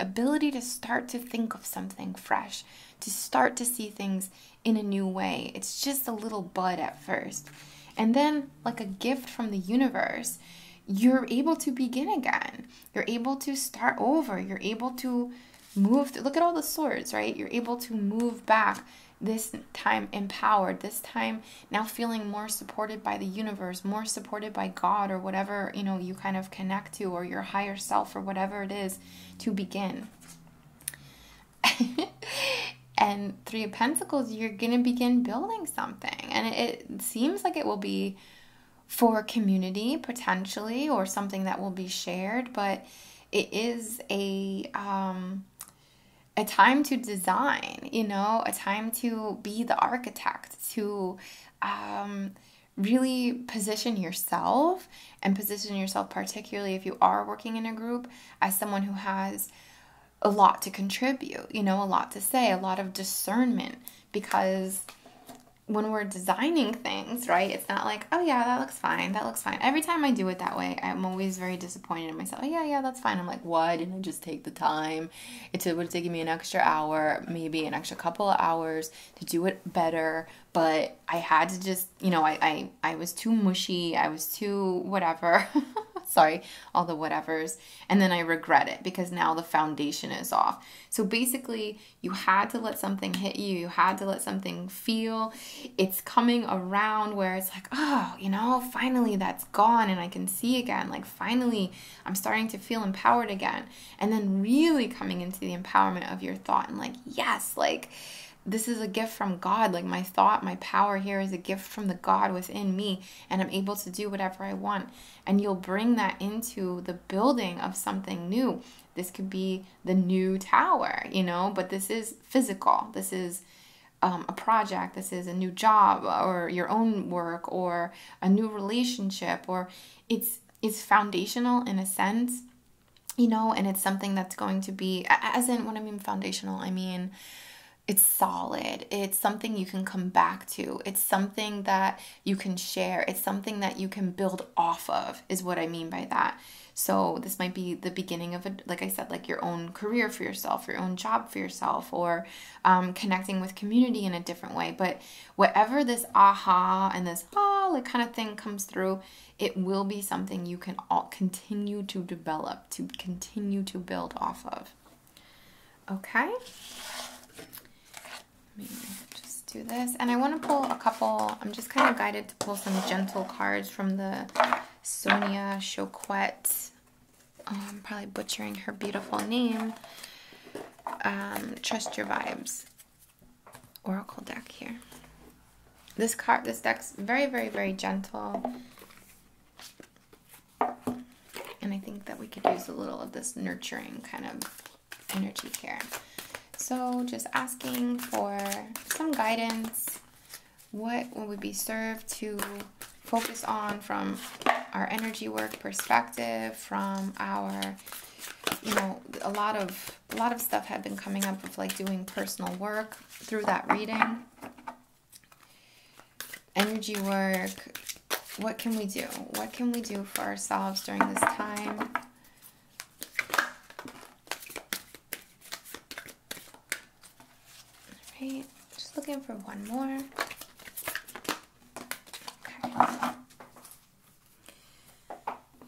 ability to start to think of something fresh, to start to see things in a new way. It's just a little bud at first. And then, like a gift from the universe, you're able to begin again. You're able to start over. You're able to move. Look at all the swords, right? You're able to move back this time empowered, this time now feeling more supported by the universe, more supported by God or whatever, you know, you kind of connect to or your higher self or whatever it is to begin. and Three of Pentacles, you're going to begin building something. And it, seems like it will be for community potentially or something that will be shared, but it is a. Um, a time to design, you know, a time to be the architect, to um, really position yourself and position yourself, particularly if you are working in a group, as someone who has a lot to contribute, you know, a lot to say, a lot of discernment because when we're designing things, right? It's not like, oh yeah, that looks fine. That looks fine. Every time I do it that way, I'm always very disappointed in myself. Oh, yeah, yeah, that's fine. I'm like, why didn't I just take the time? It would have taken me an extra hour, maybe an extra couple of hours to do it better, but I had to just you know, I, I, I was too mushy. I was too whatever. Sorry, all the whatevers. And then I regret it because now the foundation is off. So basically, you had to let something hit you. You had to let something feel. It's coming around where it's like, oh, you know, finally that's gone and I can see again. Like, finally, I'm starting to feel empowered again. And then really coming into the empowerment of your thought and like, yes, like, this is a gift from God. Like my thought, my power here is a gift from the God within me, and I'm able to do whatever I want. And you'll bring that into the building of something new. This could be the new tower, you know, but this is physical. This is um, a project, this is a new job or your own work or a new relationship, or it's it's foundational in a sense, you know, and it's something that's going to be as in when I mean foundational, I mean it's solid. It's something you can come back to. It's something that you can share. It's something that you can build off of, is what I mean by that. So, this might be the beginning of, a, like I said, like your own career for yourself, your own job for yourself, or um, connecting with community in a different way. But whatever this aha and this ah, like kind of thing comes through, it will be something you can all continue to develop to continue to build off of. Okay. Let me just do this. And I want to pull a couple, I'm just kind of guided to pull some gentle cards from the Sonia Choquette. I'm um, probably butchering her beautiful name. Um, Trust Your Vibes Oracle deck here. This card, this deck's very, very, very gentle. And I think that we could use a little of this nurturing kind of energy here. So, just asking for some guidance. What will we be served to focus on from our energy work perspective, from our you know a lot of a lot of stuff had been coming up with like doing personal work through that reading energy work. What can we do? What can we do for ourselves during this time? Alright, just looking for one more.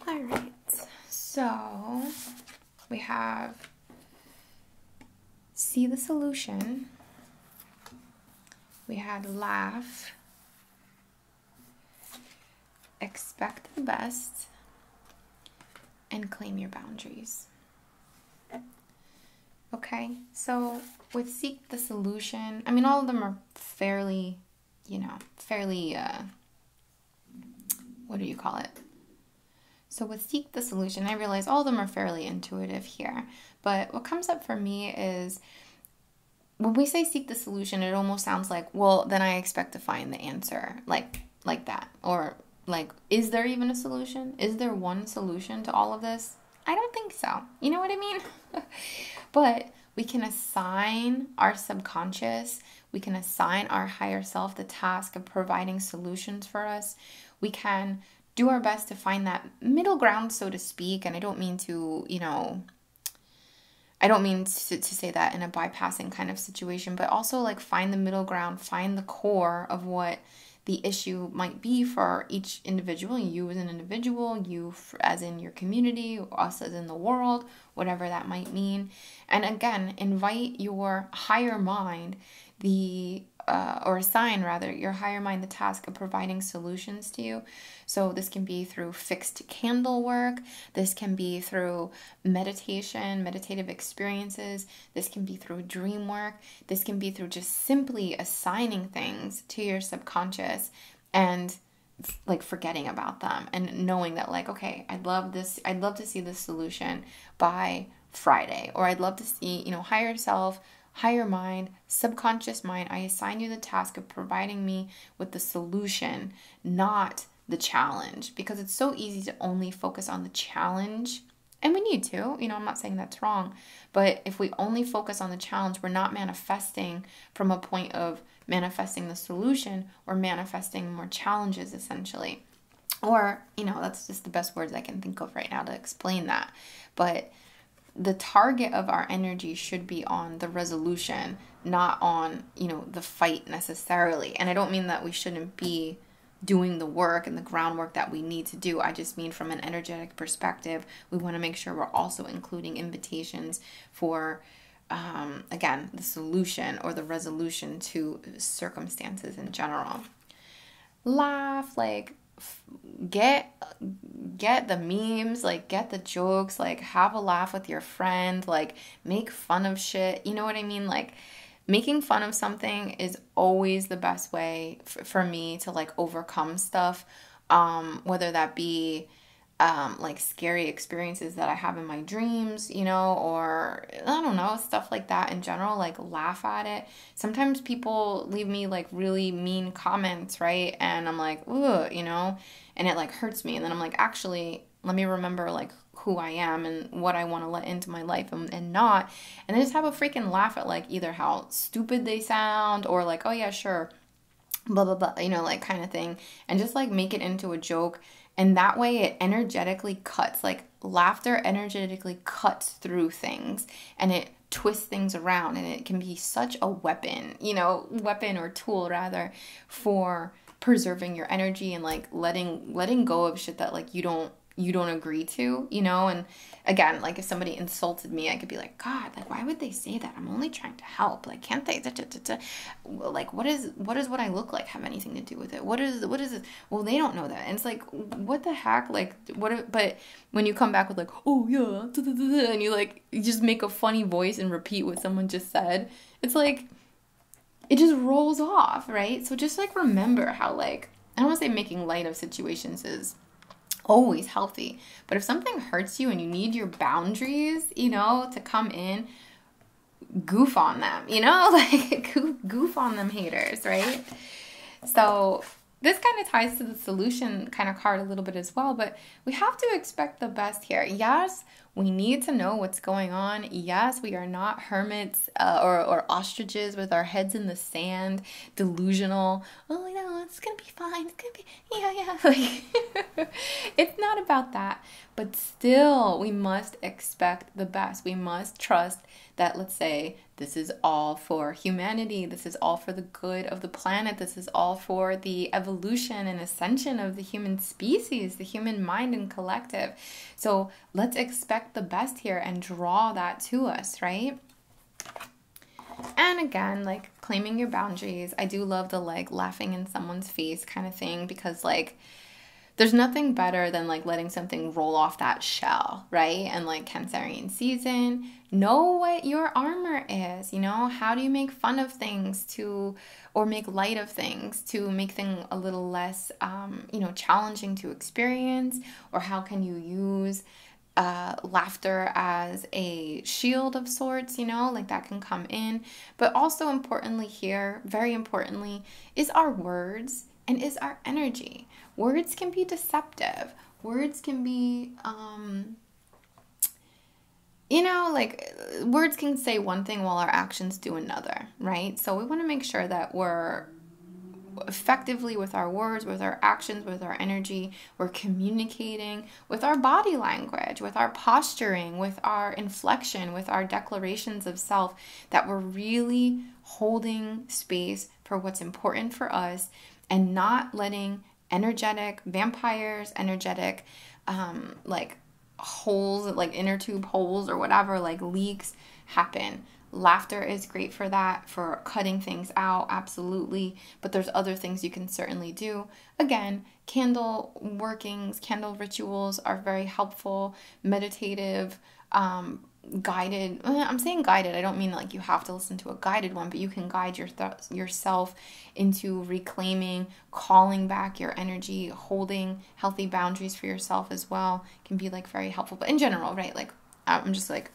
Alright, so we have see the solution. We had laugh, expect the best, and claim your boundaries. Okay, so with seek the solution, I mean, all of them are fairly, you know, fairly, uh, what do you call it? So with Seek the Solution, I realize all of them are fairly intuitive here. But what comes up for me is when we say seek the solution, it almost sounds like, well, then I expect to find the answer, like like that. Or like, is there even a solution? Is there one solution to all of this? I don't think so. You know what I mean? but we can assign our subconscious, we can assign our higher self the task of providing solutions for us we can do our best to find that middle ground, so to speak. And I don't mean to, you know, I don't mean to, say that in a bypassing kind of situation, but also like find the middle ground, find the core of what the issue might be for each individual, you as an individual, you as in your community, us as in the world, whatever that might mean. And again, invite your higher mind, the uh, or assign rather your higher mind the task of providing solutions to you. So this can be through fixed candle work, this can be through meditation, meditative experiences, this can be through dream work, this can be through just simply assigning things to your subconscious and like forgetting about them and knowing that like okay i'd love this i'd love to see this solution by Friday, or I'd love to see, you know, higher self, higher mind, subconscious mind. I assign you the task of providing me with the solution, not the challenge, because it's so easy to only focus on the challenge. And we need to, you know, I'm not saying that's wrong, but if we only focus on the challenge, we're not manifesting from a point of manifesting the solution or manifesting more challenges essentially. Or, you know, that's just the best words I can think of right now to explain that. But the target of our energy should be on the resolution, not on, you know, the fight necessarily. And I don't mean that we shouldn't be doing the work and the groundwork that we need to do. I just mean from an energetic perspective, we want to make sure we're also including invitations for, um, again, the solution or the resolution to circumstances in general laugh, like get get the memes, like get the jokes, like have a laugh with your friend, like make fun of shit. You know what I mean? Like making fun of something is always the best way for me to like overcome stuff um whether that be um, like scary experiences that I have in my dreams, you know, or I don't know, stuff like that in general, like laugh at it sometimes people leave me like really mean comments, right? And I'm like, ooh, you know, and it like hurts me. And then I'm like, actually, let me remember like who I am and what I want to let into my life and, and not. And then just have a freaking laugh at like either how stupid they sound or like, oh yeah, sure, blah, blah, blah, you know, like kind of thing. And just like make it into a joke. And that way it energetically cuts like laughter energetically cuts through things and it twists things around and it can be such a weapon, you know, weapon or tool rather for preserving your energy and like letting letting go of shit that like you don't you don't agree to, you know? And again, like if somebody insulted me, I could be like, God, like why would they say that? I'm only trying to help. Like can't they? like what is what does what I look like have anything to do with it? What is what is it? well they don't know that and it's like what the heck like what if, but when you come back with like oh yeah and you like you just make a funny voice and repeat what someone just said it's like it just rolls off right so just like remember how like i don't want to say making light of situations is always healthy but if something hurts you and you need your boundaries you know to come in goof on them, you know? Like goof on them haters, right? So this kind of ties to the solution kind of card a little bit as well, but we have to expect the best here. Yes, we need to know what's going on. Yes, we are not hermits uh, or, ostriches with our heads in the sand, delusional. Oh, no, it's going to be fine. It's going be, yeah, yeah. it's not about that. But still, we must expect the best. We must trust that, let's say, this is all for humanity. This is all for the good of the planet. This is all for the evolution and ascension of the human species, the human mind and collective. So let's expect the best here and draw that to us, right? And again, like claiming your boundaries. I do love the like laughing in someone's face kind of thing because, like, there's nothing better than like letting something roll off that shell right? And like Cancerian season, know what your armor is, you know? How do you make fun of things to, or make light of things to make things a little less, um, you know, challenging to experience? Or how can you use uh, laughter as a shield of sorts, you know, like that can come in. But also importantly, here, very importantly, is our words and is our energy. Words can be deceptive. Words can be, um, you know, like words can say one thing while our actions do another, right? So we want to make sure that we're effectively with our words, with our actions, with our energy. We're communicating with our body language, with our posturing, with our inflection, with our declarations of self, that we're really holding space for what's important for us and not letting energetic vampires, energetic, um, like holes, like inner tube holes or whatever, like leaks happen. Laughter is great for that, for cutting things out, absolutely. But there's other things you can certainly do. Again, candle workings, candle rituals are very helpful, meditative, um, guided i'm saying guided i don't mean like you have to listen to a guided one but you can guide your yourself into reclaiming calling back your energy holding healthy boundaries for yourself as well can be like very helpful but in general right like i'm just like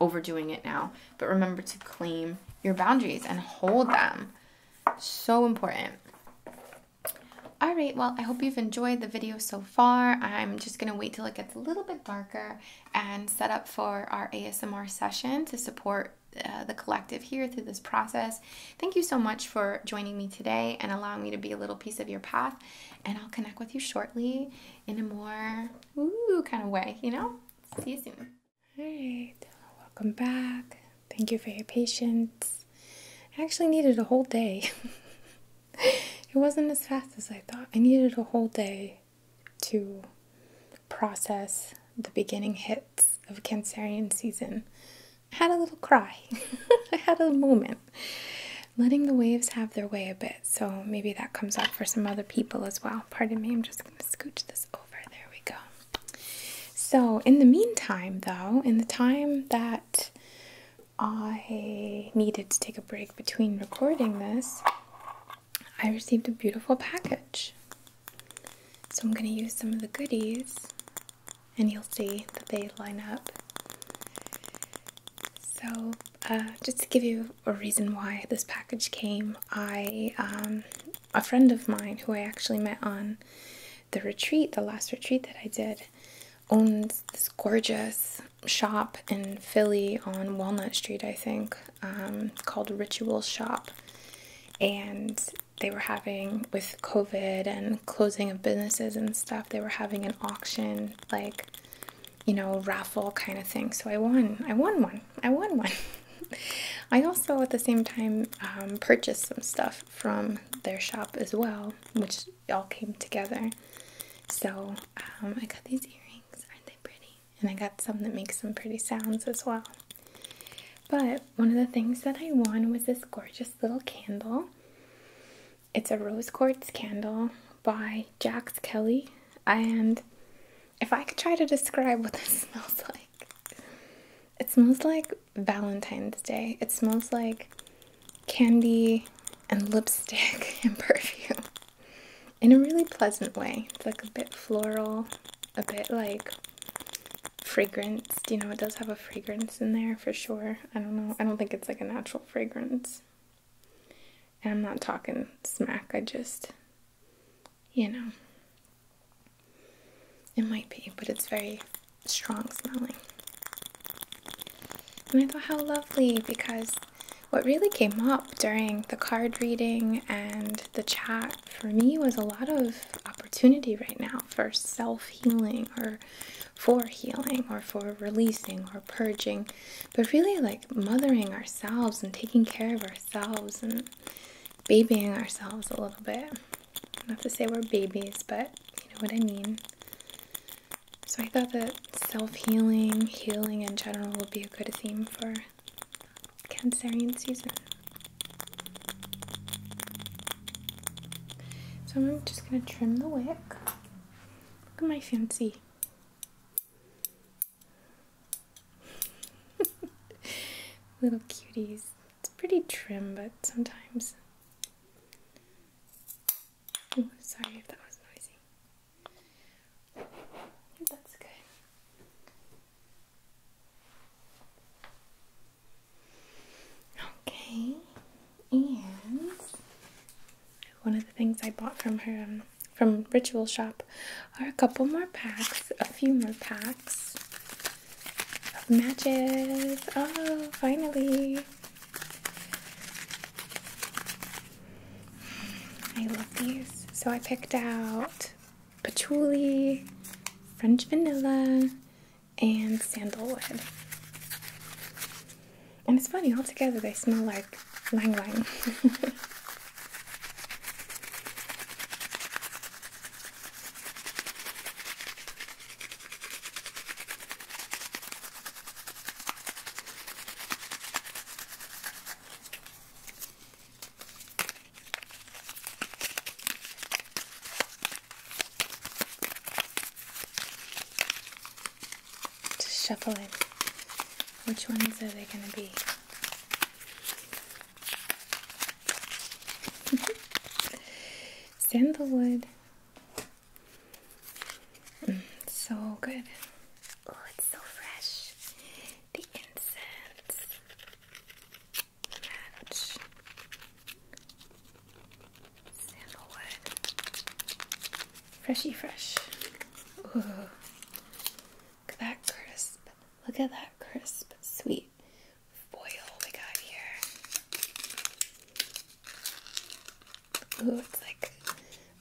overdoing it now but remember to claim your boundaries and hold them so important all right, well, I hope you've enjoyed the video so far. I'm just gonna wait till it gets a little bit darker and set up for our ASMR session to support uh, the collective here through this process. Thank you so much for joining me today and allowing me to be a little piece of your path. And I'll connect with you shortly in a more ooh kind of way, you know? See you soon. All right, welcome back. Thank you for your patience. I actually needed a whole day. it wasn't as fast as I thought. I needed a whole day to process the beginning hits of Cancerian season. I had a little cry. I had a moment. Letting the waves have their way a bit, so maybe that comes up for some other people as well. Pardon me, I'm just going to scooch this over. There we go. So, in the meantime, though, in the time that I needed to take a break, between recording this, I received a beautiful package. So I'm going to use some of the goodies, and you'll see that they line up. So, uh, just to give you a reason why this package came, I um, a friend of mine who I actually met on the retreat, the last retreat that I did, owns this gorgeous shop in Philly on Walnut Street, I think, um, called Ritual Shop. And they were having, with COVID and closing of businesses and stuff, they were having an auction, like, you know, raffle kind of thing. So I won. I won one. I won one. I also, at the same time, um, purchased some stuff from their shop as well, which all came together. So um, I got these earrings. Aren't they pretty? And I got some that make some pretty sounds as well. But one of the things that I won was this gorgeous little candle. It's a rose quartz candle by Jax Kelly. And if I could try to describe what this smells like, it smells like Valentine's Day. It smells like candy and lipstick and perfume in a really pleasant way. It's like a bit floral, a bit like fragranced. You know, it does have a fragrance in there for sure. I don't know. I don't think it's like a natural fragrance. And I'm not talking smack. I just, you know, it might be, but it's very strong smelling. And I thought how lovely because what really came up during the card reading and the chat for me was a lot of opportunity right now for self healing or for healing or for releasing or purging, but really like mothering ourselves and taking care of ourselves and babying ourselves a little bit. Not to say we're babies, but you know what I mean. So I thought that self healing, healing in general, would be a good theme for Cancerian season. So I'm just going to trim the wick. Look at my fancy. Little cuties. It's pretty trim, but sometimes. Oh, sorry if that was noisy. That's good. Okay, and one of the things I bought from her um, from Ritual Shop are a couple more packs, a few more packs of matches. Oh, finally! I love these. So I picked out patchouli, French vanilla, and sandalwood. And it's funny, all together they smell like lang lang. Just shuffle it. Which ones are they going to be? Sandalwood. Mm, so good. Oh, it's so fresh. The incense match sandalwood. Freshy fresh. Ooh. Look at that crisp. Look at that crisp, sweet foil we got here. Ooh, it's like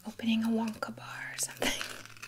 opening a Wonka bar or something.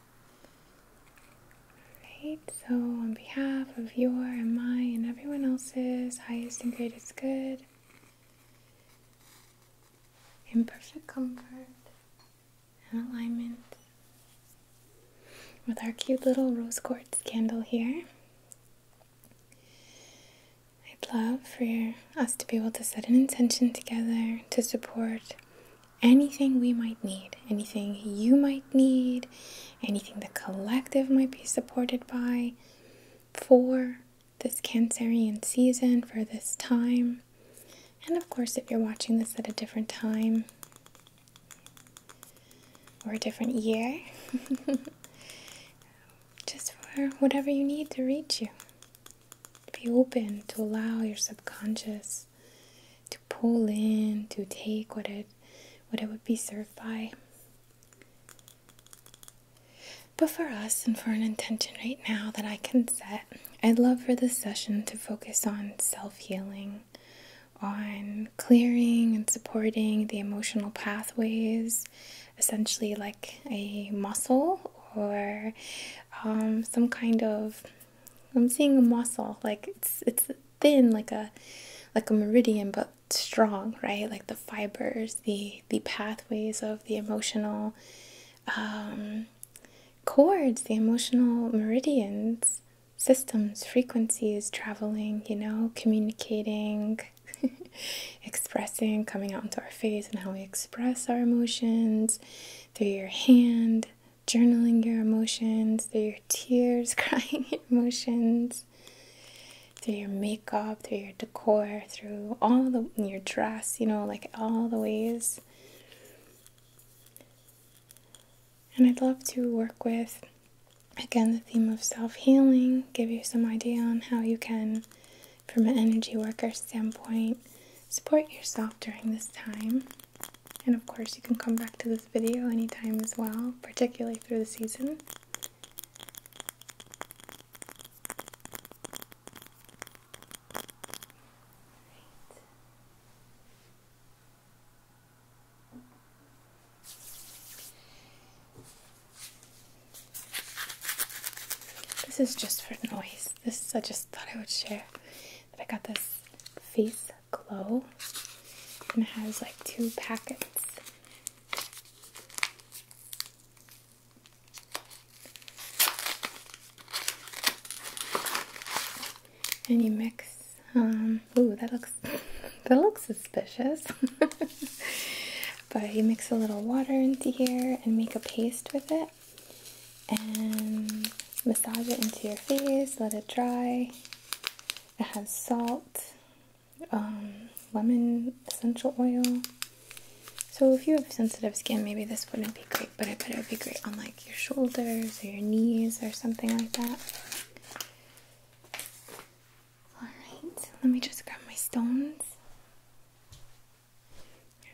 Alright, so on behalf of your and my and everyone else's highest and greatest good, in perfect comfort and alignment with our cute little rose quartz candle here. I'd love for us to be able to set an intention together to support anything we might need, anything you might need, anything the collective might be supported by for this Cancerian season, for this time. And of course, if you're watching this at a different time or a different year, just for whatever you need to reach you. Be open to allow your subconscious to pull in, to take what it, what it would be served by. But for us and for an intention right now that I can set, I'd love for this session to focus on self healing, on clearing and supporting the emotional pathways, essentially like a muscle or um, some kind of I'm seeing a muscle, like it's it's thin, like a like a meridian, but strong, right? Like the fibers, the the pathways of the emotional um, chords, the emotional meridians, systems, frequencies traveling, you know, communicating, expressing, coming out into our face, and how we express our emotions through your hand, journaling your emotions, through your tears, crying your emotions, through your makeup, through your decor, through all the your dress, you know, like all the ways. And I'd love to work with again the theme of self-healing, give you some idea on how you can from an energy worker standpoint support yourself during this time. And of course, you can come back to this video anytime as well, particularly through the season. This is just for noise. This I just thought I would share that I got this face glow and it has like two packets. And you mix um, ooh that looks that looks suspicious. but you mix a little water into here and make a paste with it and massage it into your face, let it dry, it has salt, um, lemon essential oil. So if you have sensitive skin, maybe this wouldn't be great, but I bet it would be great on like your shoulders or your knees or something like that. Alright, let me just grab my stones.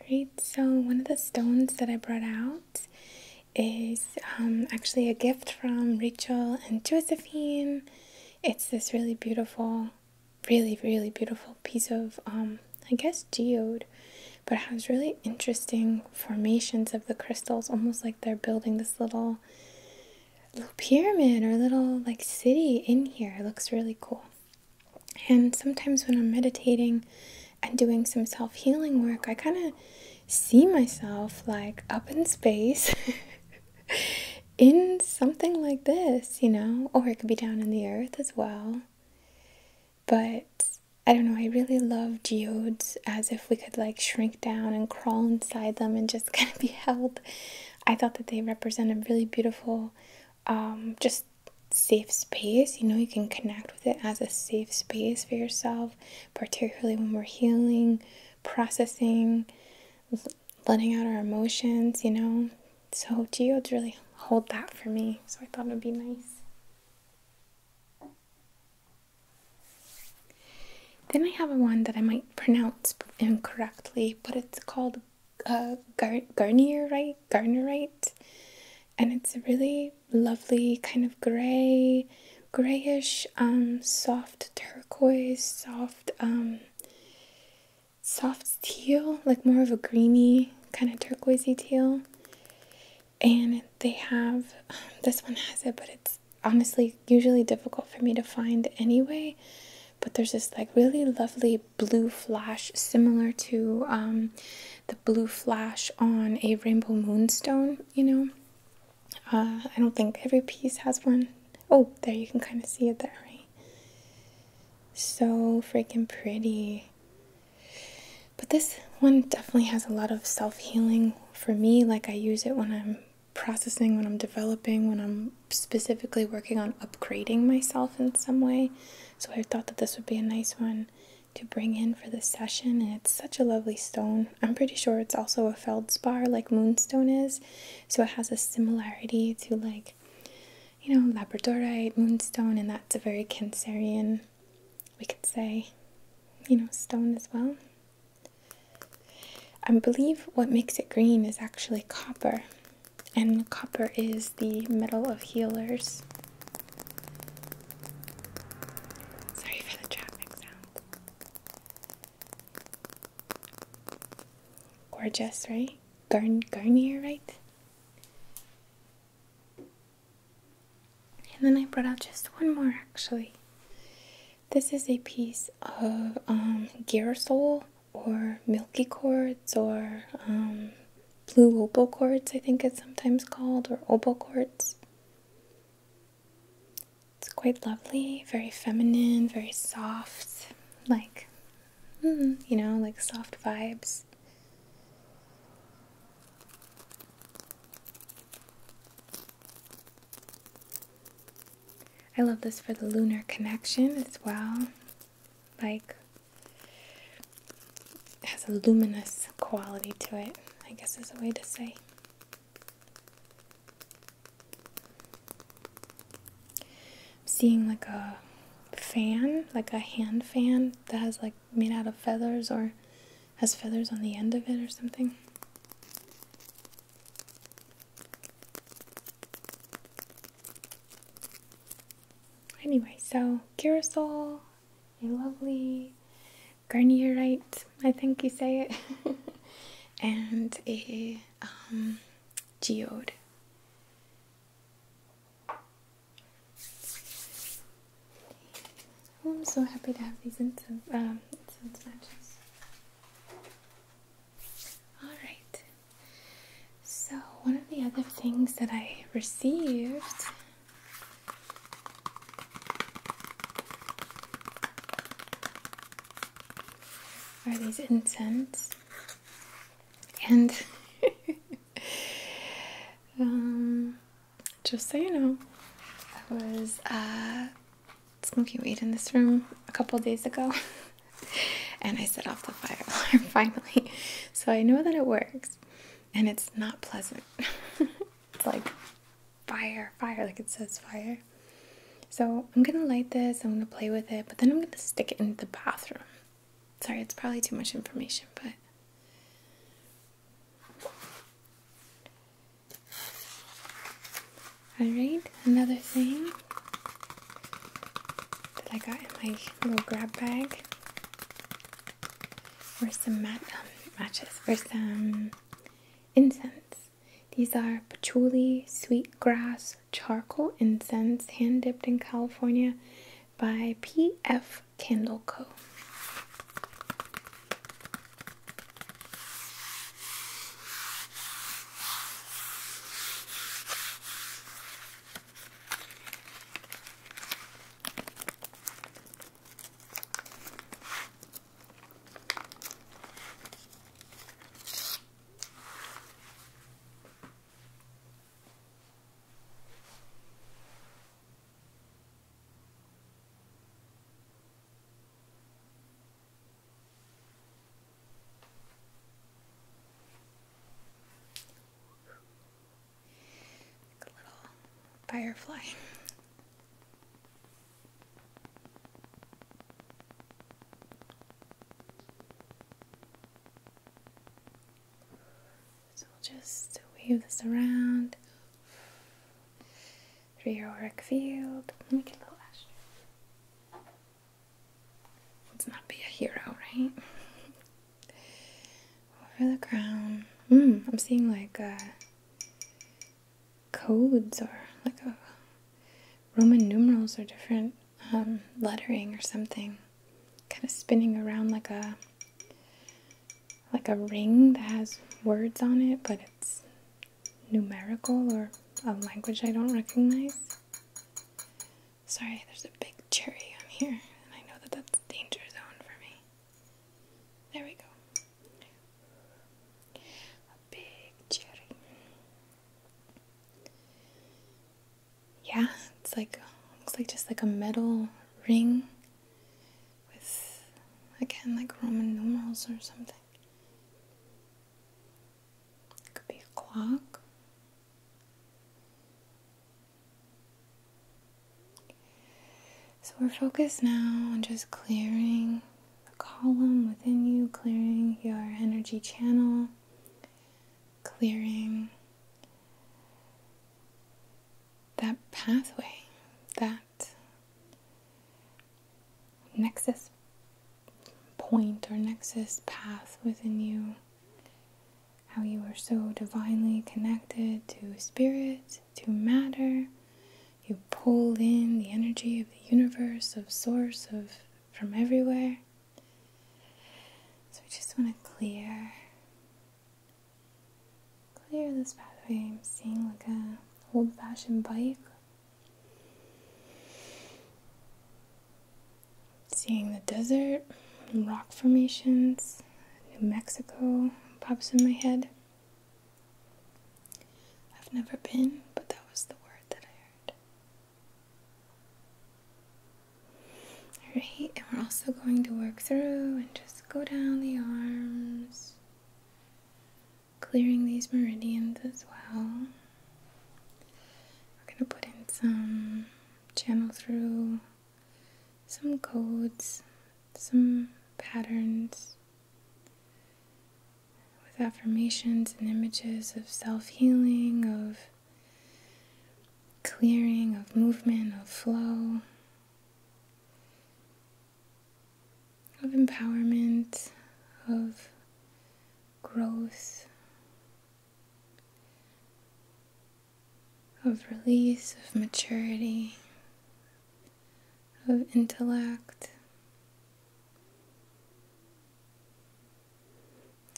Alright, so one of the stones that I brought out is um, actually a gift from Rachel and Josephine. It's this really beautiful, really, really beautiful piece of, um, I guess, geode, but it has really interesting formations of the crystals, almost like they're building this little, little pyramid or little like city in here. It looks really cool. And sometimes when I'm meditating and doing some self healing work, I kind of see myself like up in space in something like this, you know, or it could be down in the earth as well. But I don't know, I really love geodes as if we could like shrink down and crawl inside them and just kind of be held. I thought that they represent a really beautiful, um, just safe space. You know, you can connect with it as a safe space for yourself, particularly when we're healing, processing, letting out our emotions, you know. So Geo, to really hold that for me. So I thought it would be nice. Then I have a one that I might pronounce incorrectly, but it's called uh, gar- garnierite, garnerite, and it's a really lovely kind of gray, grayish, um, soft turquoise, soft, um, soft teal, like more of a greeny kind of turquoisey teal. And they have um, this one has it, but it's honestly usually difficult for me to find anyway. But there's this like really lovely blue flash, similar to um, the blue flash on a rainbow moonstone, you know. Uh, I don't think every piece has one. Oh, there you can kind of see it there, right? So freaking pretty. But this one definitely has a lot of self healing for me. Like, I use it when I'm processing, when I'm developing, when I'm specifically working on upgrading myself in some way. So, I thought that this would be a nice one to bring in for this session. And it's such a lovely stone. I'm pretty sure it's also a feldspar like moonstone is, so it has a similarity to like you know labradorite, moonstone, and that's a very Cancerian, we could say, you know, stone as well. I believe what makes it green is actually copper, and copper is the metal of healers. Sorry for the traffic sound. Gorgeous, right? Garn Garnier, right? And then I brought out just one more actually. This is a piece of um, or Milky Quartz or um, Blue Opal Quartz, I think it's sometimes called, or Opal Quartz. It's quite lovely, very feminine, very soft, like, mm, you know, like soft vibes. I love this for the lunar connection as well. Like, has a luminous quality to it, I guess is a way to say. I'm seeing like a fan, like a hand fan that has like made out of feathers or has feathers on the end of it or something. Anyway, so carousel, a lovely Garnierite, I think you say it, and a um, geode. Oh, I'm so happy to have these incense, um, incense matches. Alright, so one of the other things that I received are these incense and um, just so you know I was uh, smoking weed in this room a couple days ago and I set off the fire alarm finally so I know that it works and it's not pleasant it's like fire, fire, like it says fire. So I'm gonna light this, I'm gonna play with it, but then I'm gonna stick it in the bathroom. Sorry, it's probably too much information, but. Alright, another thing that I got in my little grab bag were some mat um, matches, or some incense. These are patchouli, sweet grass, charcoal incense, hand dipped in California by P.F. Candle Co a little firefly. So we'll just wave this around through your auric field. Make a little ash. Let's not be a hero, right? Over the crown. Mm, I'm seeing like a codes or like uh, Roman numerals or different um, lettering or something, kind of spinning around like a like a ring that has words on it, but it's numerical or a language I don't recognize. Sorry, there's a big cherry on here, and I know that that's a danger zone for me. There we go. A big cherry. Yeah, it's like looks like just like a metal ring with again like Roman numerals or something. could be a clock. So we're focused now on just clearing the column within you, clearing your energy channel, clearing that pathway, that nexus point or nexus path within you. How you are so divinely connected to spirit, to matter, you pull in the energy of the universe, of source, of from everywhere. So we just want to clear clear this pathway. seeing like a old-fashioned bike. Seeing the desert, rock formations, New Mexico pops in my head. I've never been, but that was the word that I heard. Alright, and we're also going to work through and just go down the arms, clearing these meridians as well. We're going to put in some channel through, some codes, some patterns with affirmations and images of self healing, of clearing, of movement, of flow, of empowerment, of growth, of release, of maturity, of intellect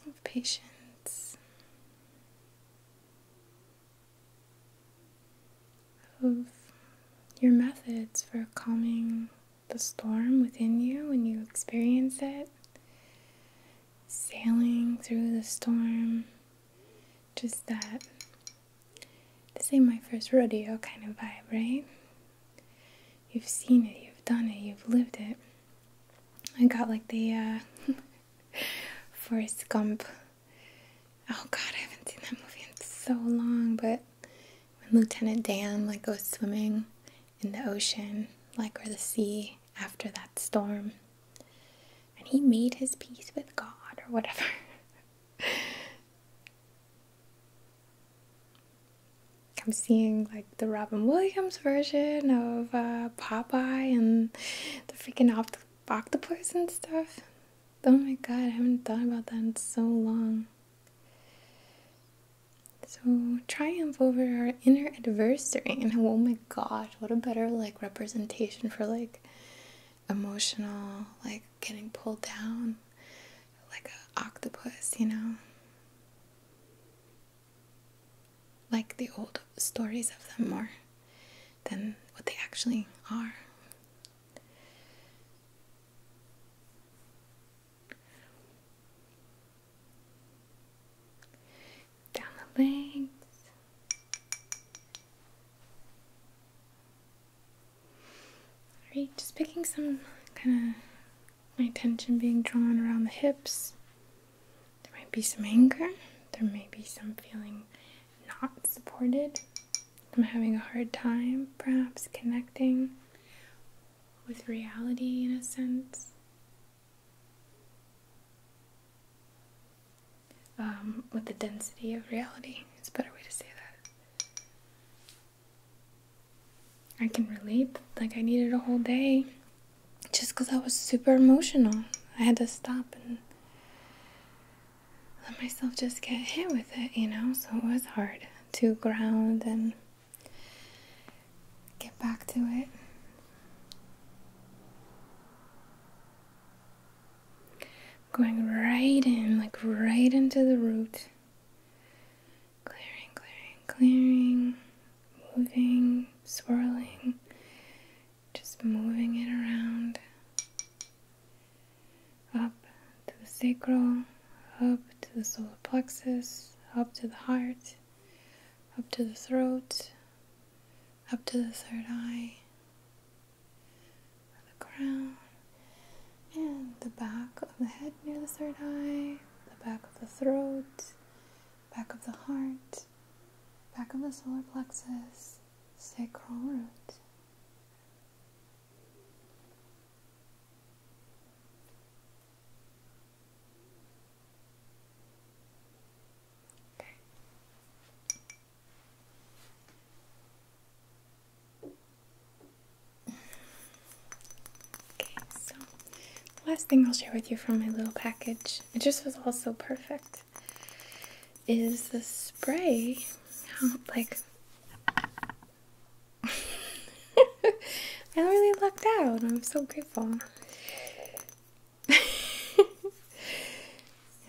of patience, of your methods for calming the storm within you when you experience it, sailing through the storm, just that. This ain't my first rodeo kind of vibe, right? you've seen it, you've done it, you've lived it. I got like the uh, Forrest Gump. Oh God, I haven't seen that movie in so long. But when Lieutenant Dan like goes swimming in the ocean, like where the sea after that storm, and he made his peace with God or whatever. I'm seeing like the Robin Williams version of uh, Popeye and the freaking opt octopus and stuff. Oh my god, I haven't thought about that in so long. So triumph over our inner adversary, and oh my gosh, what a better like representation for like emotional, like getting pulled down, like an octopus, you know? Like the old stories of them more than what they actually are. Down the legs. Alright, just picking some kind of my tension being drawn around the hips. There might be some anger, there may be some feeling not supported. I'm having a hard time, perhaps connecting with reality in a sense. Um, with the density of reality, it's a better way to say that. I can relate. Like, I needed a whole day just because I was super emotional. I had to stop and let myself just get hit with it, you know? So it was hard to ground and get back to it. Going right in, like right into the root clearing, clearing, clearing, moving, swirling, just moving it around up to the sacral, up to the solar plexus, up to the heart, up to the throat, up to the third eye, the crown, and the back of the head near the third eye, the back of the throat, back of the heart, back of the solar plexus, sacral root. Okay, so the last thing I'll share with you from my little package, it just was all so perfect, is the spray. Like, I really lucked out. I'm so grateful.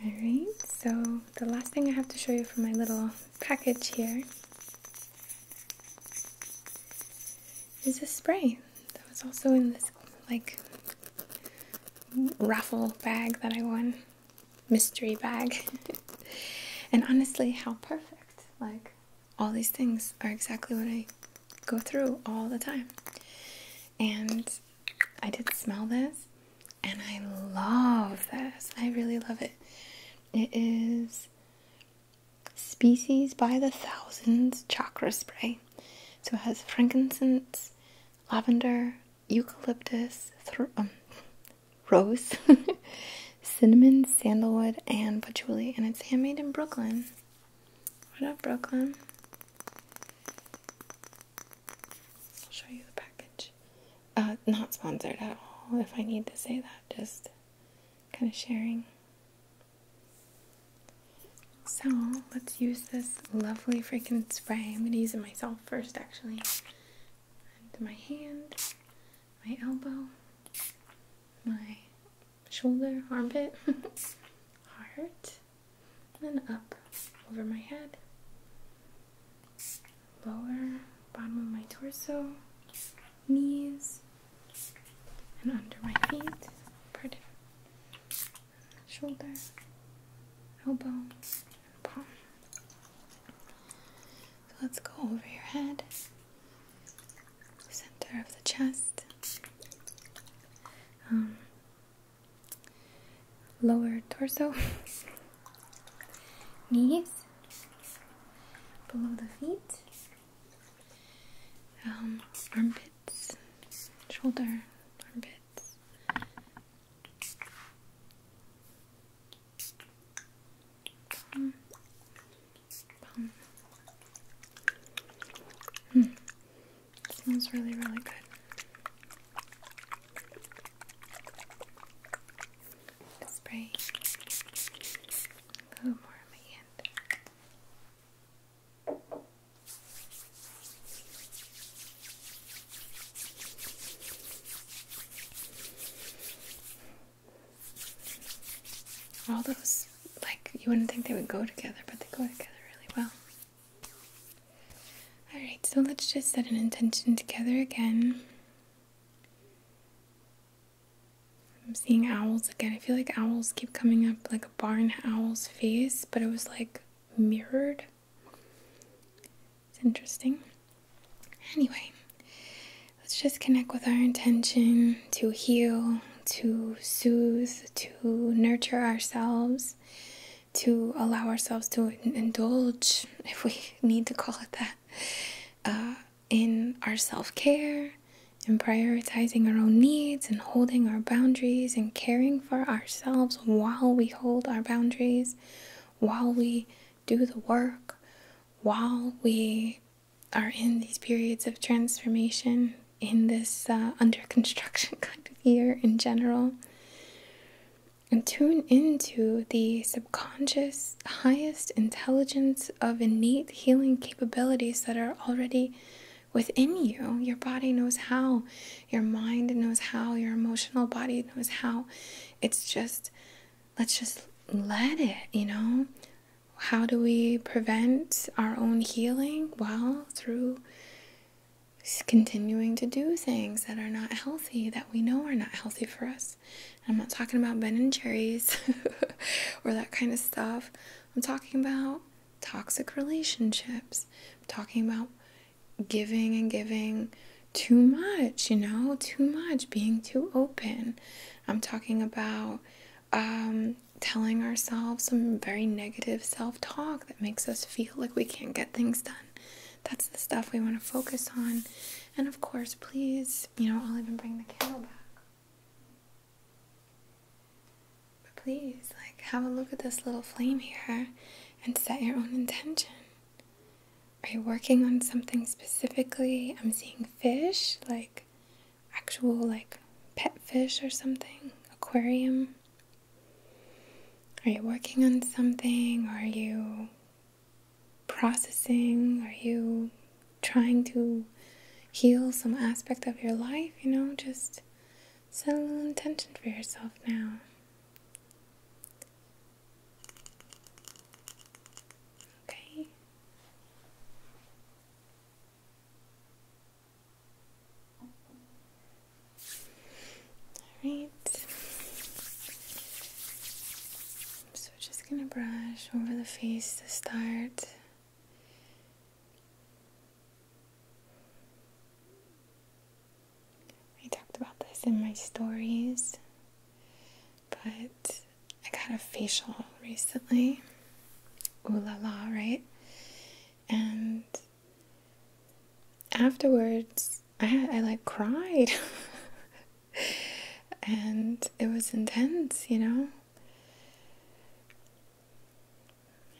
Alright, so the last thing I have to show you from my little package here is a spray that was also in this like raffle bag that I won, mystery bag. and honestly, how perfect. Like, all these things are exactly what I go through all the time. And I did smell this, and I love this. I really love it. It is Species by the Thousands Chakra Spray. So it has frankincense, lavender, eucalyptus, um, rose, cinnamon, sandalwood, and patchouli. And it's handmade in Brooklyn. What up, Brooklyn? I'll show you the package. Uh, not sponsored at all, if I need to say that, just kind of sharing. So let's use this lovely freaking spray. I'm gonna use it myself first, actually. my hand, my elbow, my shoulder, armpit, heart, and then up over my head, lower, bottom of my torso, knees and under my feet, pardon, shoulder, elbows. let's go over your head, center of the chest, um, lower torso, knees, below the feet um, armpits, shoulder, armpits. Palm. Palm. Mm. really, really good. spray. A little more on my hand. All those, like, you wouldn't think they would go together, but they go together really well. Alright, so let's just set an intention together again. I'm seeing owls again. I feel like owls keep coming up like a barn owl's face, but it was like mirrored. It's interesting. Anyway, let's just connect with our intention to heal, to soothe, to nurture ourselves, to allow ourselves to indulge, if we need to call it that, uh, in our self care, in prioritizing our own needs, and holding our boundaries, and caring for ourselves while we hold our boundaries, while we do the work, while we are in these periods of transformation, in this uh, under construction kind of year in general. And tune into the subconscious, highest intelligence of innate healing capabilities that are already within you. Your body knows how, your mind knows how, your emotional body knows how. It's just, let's just let it, you know? How do we prevent our own healing? Well, through continuing to do things that are not healthy, that we know are not healthy for us. I'm not talking about Ben and Jerry's or that kind of stuff. I'm talking about toxic relationships. I'm talking about giving and giving too much, you know, too much, being too open. I'm talking about um, telling ourselves some very negative self talk that makes us feel like we can't get things done. That's the stuff we want to focus on. And of course, please, you know, I'll even bring the candle back. But please, like, have a look at this little flame here and set your own intention. Are you working on something specifically? I'm seeing fish, like actual, like pet fish or something, aquarium. Are you working on something? Are you processing? Are you trying to heal some aspect of your life, you know, just set a little intention for yourself now. Okay. All right. So just gonna brush over the face to start. I talked about this in my stories, but I got a facial recently. Ooh la la, right? And afterwards, I, I like cried. and it was intense, you know?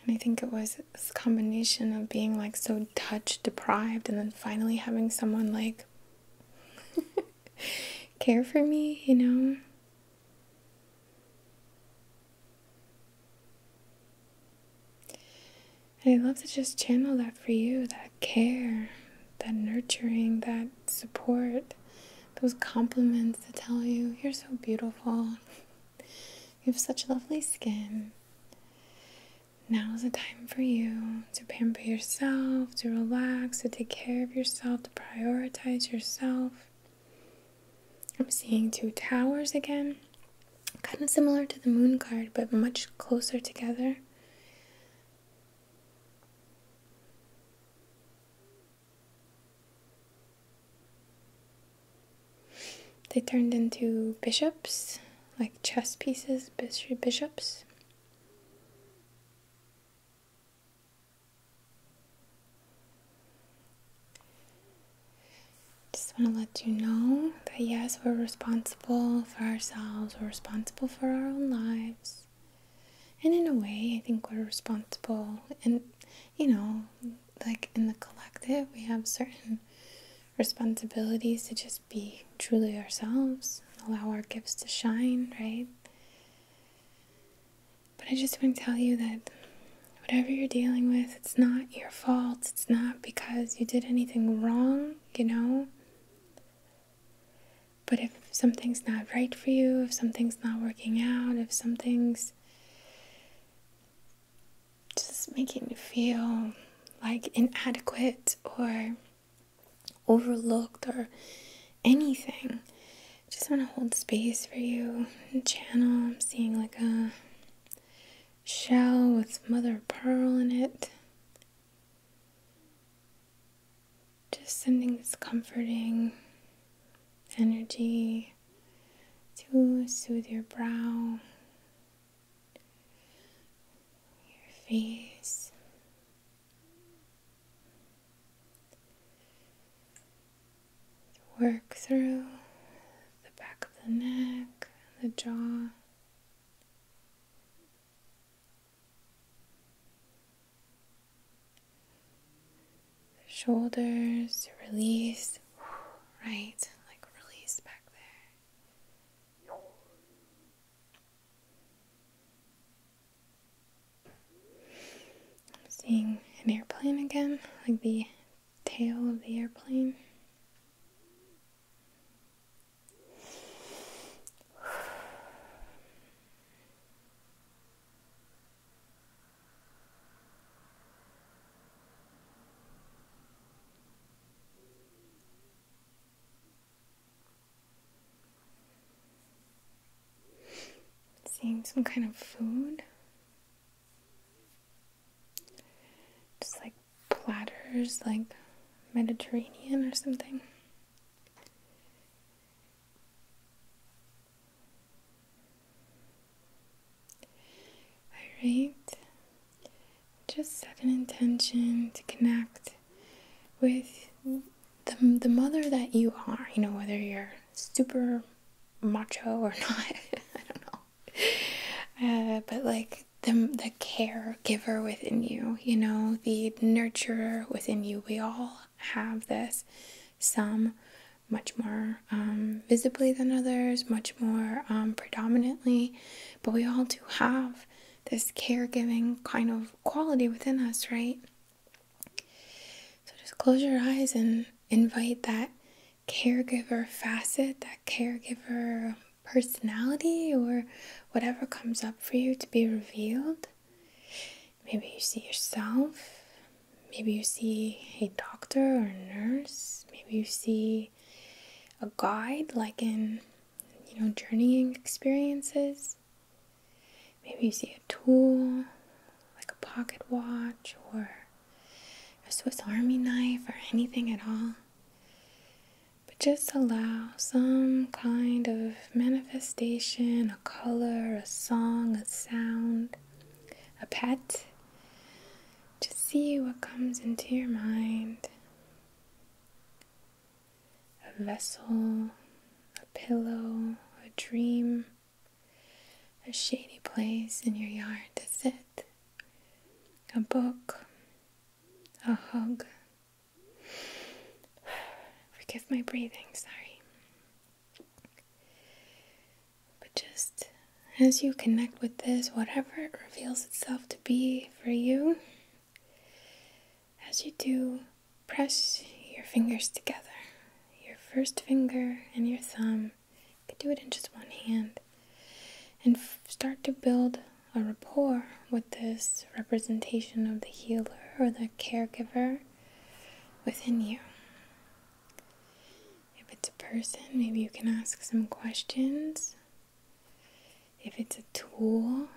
And I think it was this combination of being like so touch deprived and then finally having someone like care for me, you know? And i love to just channel that for you that care, that nurturing, that support, those compliments that tell you you're so beautiful. you have such lovely skin. Now is the time for you to pamper yourself, to relax, to take care of yourself, to prioritize yourself. I'm seeing two towers again, kind of similar to the moon card, but much closer together. They turned into bishops, like chess pieces, bishop bishops. Just want to let you know that yes, we're responsible for ourselves, we're responsible for our own lives. And in a way, I think we're responsible in you know, like in the collective, we have certain responsibilities to just be truly ourselves, allow our gifts to shine, right? But I just want to tell you that whatever you're dealing with, it's not your fault. It's not because you did anything wrong, you know? But if something's not right for you, if something's not working out, if something's just making you feel like inadequate or overlooked or anything. Just want to hold space for you channel. I'm seeing like a shell with mother pearl in it. Just something that's comforting energy to soothe your brow, your face. work through the back of the neck, the jaw. Shoulders release, right? Like release back there. I'm seeing an airplane again, like the tail of the airplane. Seeing some kind of food. Just like platters, like Mediterranean or something. Alright, just set an intention to connect with the, the mother that you are, you know, whether you're super macho or not, I don't know, uh, but like the, the caregiver within you, you know, the nurturer within you. We all have this, some much more um, visibly than others, much more um, predominantly, but we all do have this caregiving kind of quality within us, right? So just close your eyes and invite that caregiver facet, that caregiver personality, or whatever comes up for you to be revealed. Maybe you see yourself, maybe you see a doctor or a nurse maybe you see a guide like in you know journeying experiences maybe you see a tool like a pocket watch or a swiss army knife or anything at all but just allow some kind of manifestation a color a song a sound a pet to see what comes into your mind a vessel, a pillow, a dream, a shady place in your yard to sit, a book, a hug. Forgive my breathing, sorry. But just as you connect with this, whatever it reveals itself to be for you, as you do, press your fingers together. Your first finger and your thumb. You could do it in just one hand. And start to build a rapport with this representation of the healer or the caregiver within you. If it's a person, maybe you can ask some questions. If it's a tool,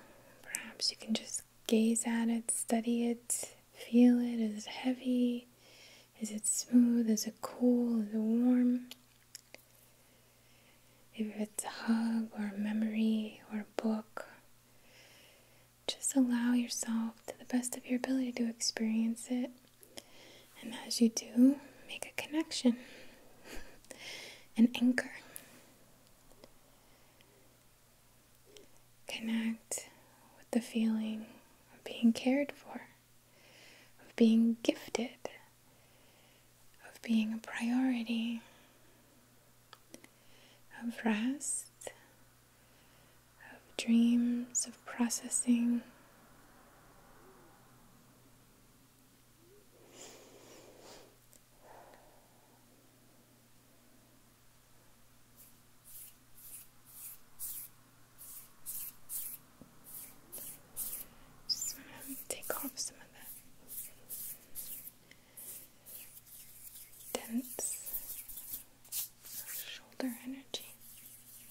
perhaps you can just gaze at it, study it, feel it. Is it heavy? Is it smooth? Is it cool? Is it warm? If it's a hug or a memory or a book, just allow yourself to the best of your ability to experience it. And as you do, make a connection, an anchor. Connect with the feeling of being cared for, of being gifted, of being a priority, of rest, of dreams, of processing. Just want to take off some of that dense shoulder energy.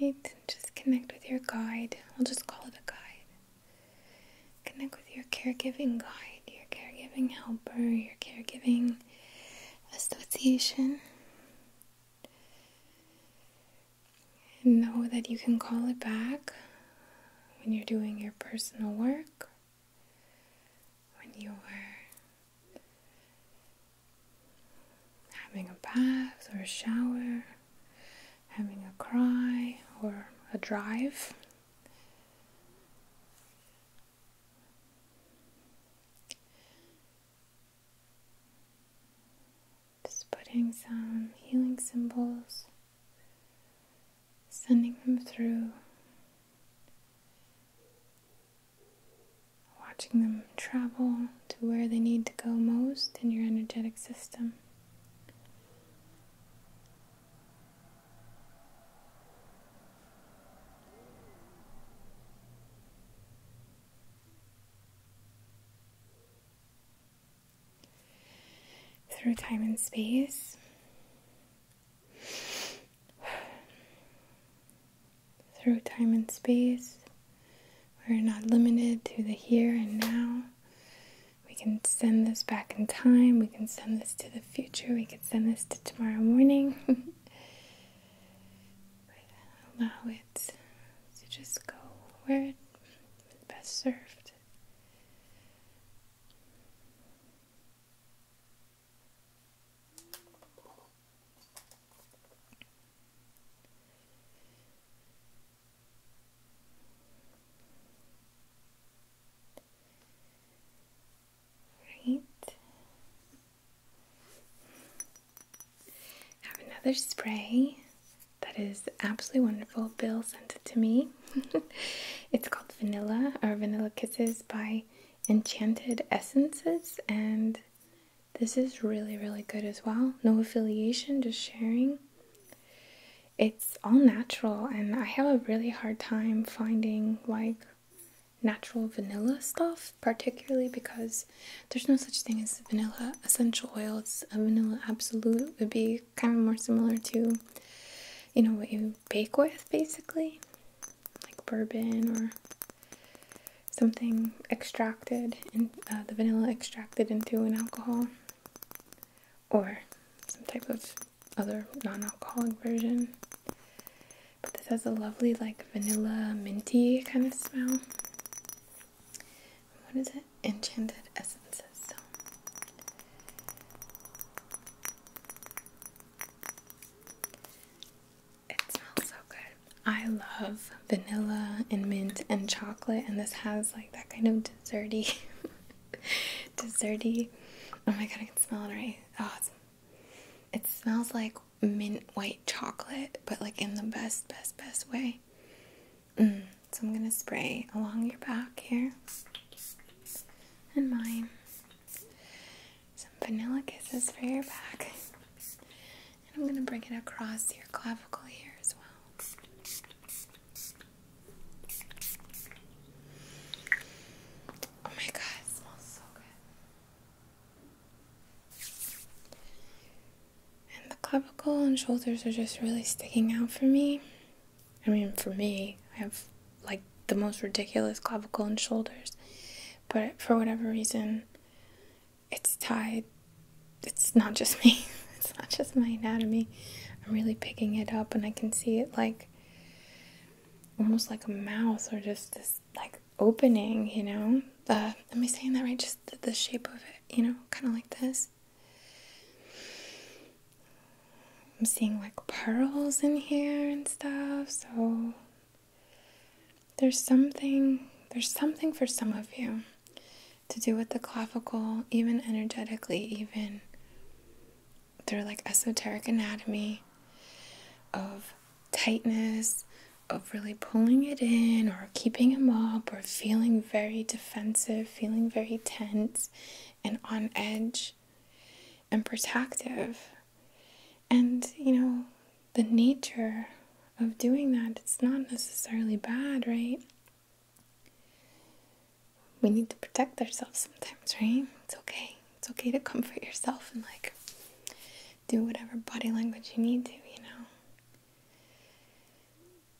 Right, just connect with your guide. I'll just call it a guide. Connect with your caregiving guide, your caregiving helper, your caregiving association. know that you can call it back when you're doing your personal work, when you're having a bath or a shower, having a cry or a drive. Just putting some healing symbols, sending them through, watching them travel to where they need to go most in your energetic system. Through time and space, through time and space, we're not limited to the here and now. We can send this back in time. We can send this to the future. We can send this to tomorrow morning. allow it to just go where it is best served. Right. Have another spray that is absolutely wonderful. Bill sent it to me. it's called Vanilla or Vanilla Kisses by Enchanted Essences, and this is really, really good as well. No affiliation, just sharing it's all natural and I have a really hard time finding like natural vanilla stuff particularly because there's no such thing as vanilla essential oil it's a vanilla absolute would be kind of more similar to you know what you bake with basically like bourbon or something extracted and uh, the vanilla extracted into an alcohol or some type of other non-alcoholic version. But this has a lovely like vanilla minty kind of smell. What is it? Enchanted essences. So it smells so good. I love vanilla and mint and chocolate, and this has like that kind of desserty, desserty. Oh my god, I can smell it oh, it smells like mint white chocolate, but like in the best, best, best way. Mm, so I'm gonna spray along your back here and mine. Some vanilla kisses for your back. And I'm gonna bring it across your clavicle here as well. Oh my god, smells so good. And the clavicle and shoulders are just really sticking out for me. I mean, for me, I have like the most ridiculous clavicle and shoulders, but for whatever reason, it's tied it's not just me. It's not just my anatomy. I'm really picking it up and I can see it like almost like a mouth or just this like opening, you know? Uh, am I saying that right? Just the shape of it, you know, kind of like this. I'm seeing like pearls in here and stuff, so there's something, there's something for some of you to do with the clavicle, even energetically, even through like esoteric anatomy of tightness, of really pulling it in or keeping him up or feeling very defensive, feeling very tense and on edge and protective. And you know, the nature of doing that, it's not necessarily bad, right? we need to protect ourselves sometimes, right? It's okay. It's okay to comfort yourself and like do whatever body language you need to, you know.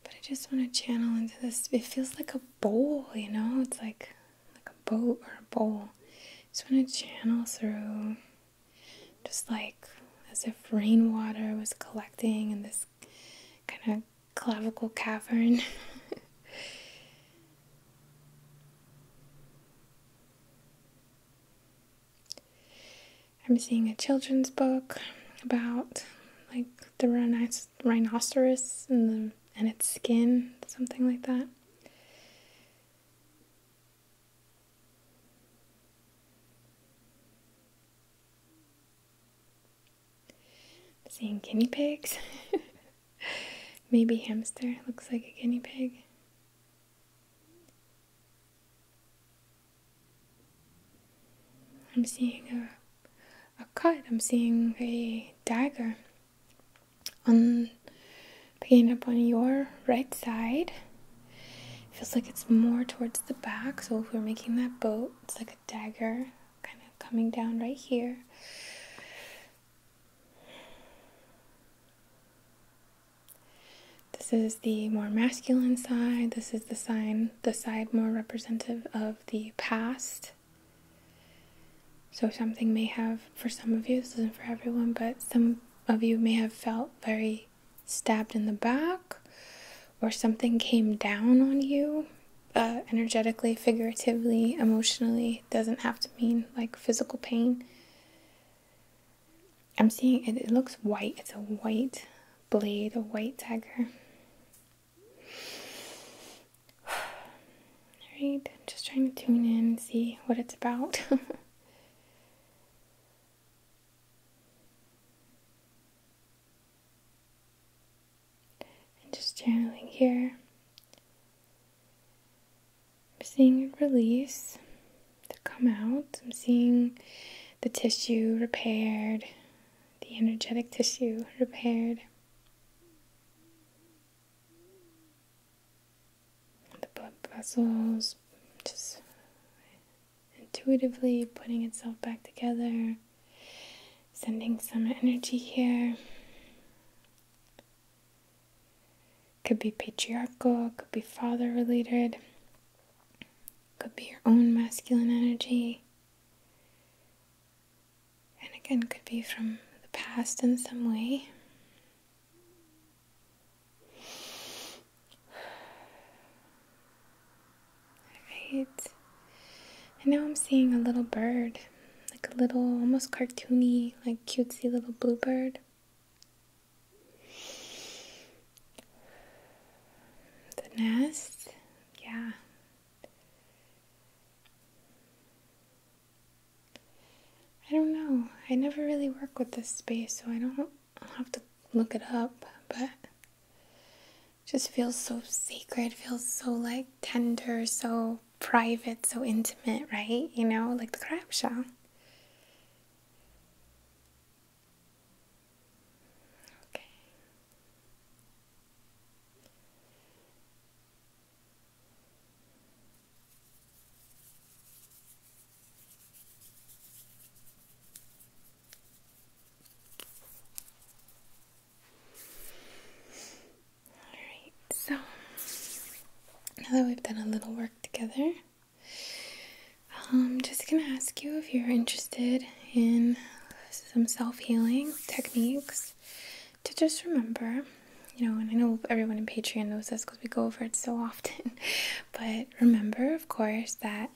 But I just want to channel into this. It feels like a bowl, you know. It's like like a boat or a bowl. just want to channel through, just like as if rainwater was collecting in this kind of clavicle cavern. I'm seeing a children's book about like the rhino- rhinoceros and the and its skin, something like that. Seeing guinea pigs. Maybe hamster looks like a guinea pig. I'm seeing a, a cut. I'm seeing a dagger on picking up on your right side. feels like it's more towards the back. So if we're making that boat, it's like a dagger kind of coming down right here. This is the more masculine side. This is the sign, the side more representative of the past. So something may have, for some of you, this isn't for everyone, but some of you may have felt very stabbed in the back or something came down on you uh, energetically, figuratively, emotionally. doesn't have to mean like physical pain. I'm seeing it, it looks white. It's a white blade, a white dagger. Alright, just trying to tune in and see what it's about. and just channeling here. I'm seeing it release, to come out. I'm seeing the tissue repaired, the energetic tissue repaired. The blood vessels just intuitively putting itself back together. Sending some energy here. Could be patriarchal, could be father related, could be your own masculine energy. And again, could be from the past in some way. Alright. And now I'm seeing a little bird. Like a little, almost cartoony, like cutesy little bluebird. The nest. Yeah. I don't know. I never really work with this space, so I don't have to look it up, but just feels so sacred, feels so like tender, so private, so intimate, right? You know, like the crab shell. Okay. Alright, so now that we've done a little work together, I'm um, just going to ask you if you're interested in some self healing techniques to just remember. You know, and I know everyone in Patreon knows this because we go over it so often, but remember, of course, that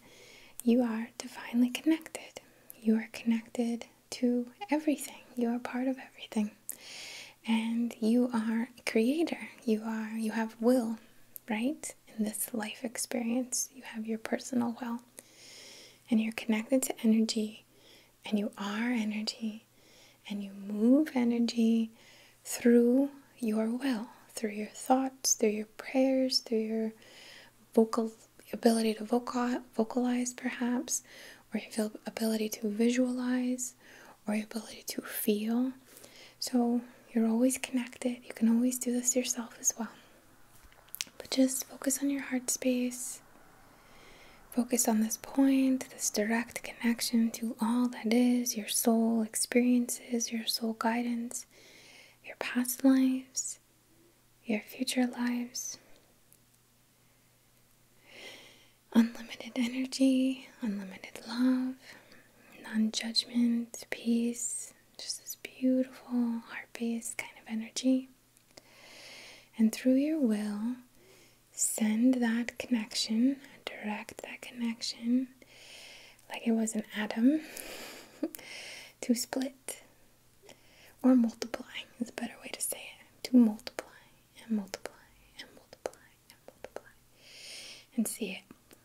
you are divinely connected. You are connected to everything. You are part of everything. And you are creator. You are you have will, right? In this life experience, you have your personal will. And you're connected to energy and you are energy and you move energy through your will, through your thoughts, through your prayers, through your vocal ability to vocalize, perhaps, or your ability to visualize, or your ability to feel. So you're always connected. You can always do this yourself as well. But just focus on your heart space. Focus on this point, this direct connection to all that is your soul experiences, your soul guidance, your past lives, your future lives. Unlimited energy, unlimited love, non judgment, peace, just this beautiful heart based kind of energy. And through your will, send that connection, direct that connection like it was an atom to split or multiplying is a better way to say it to multiply and multiply and multiply and multiply and see it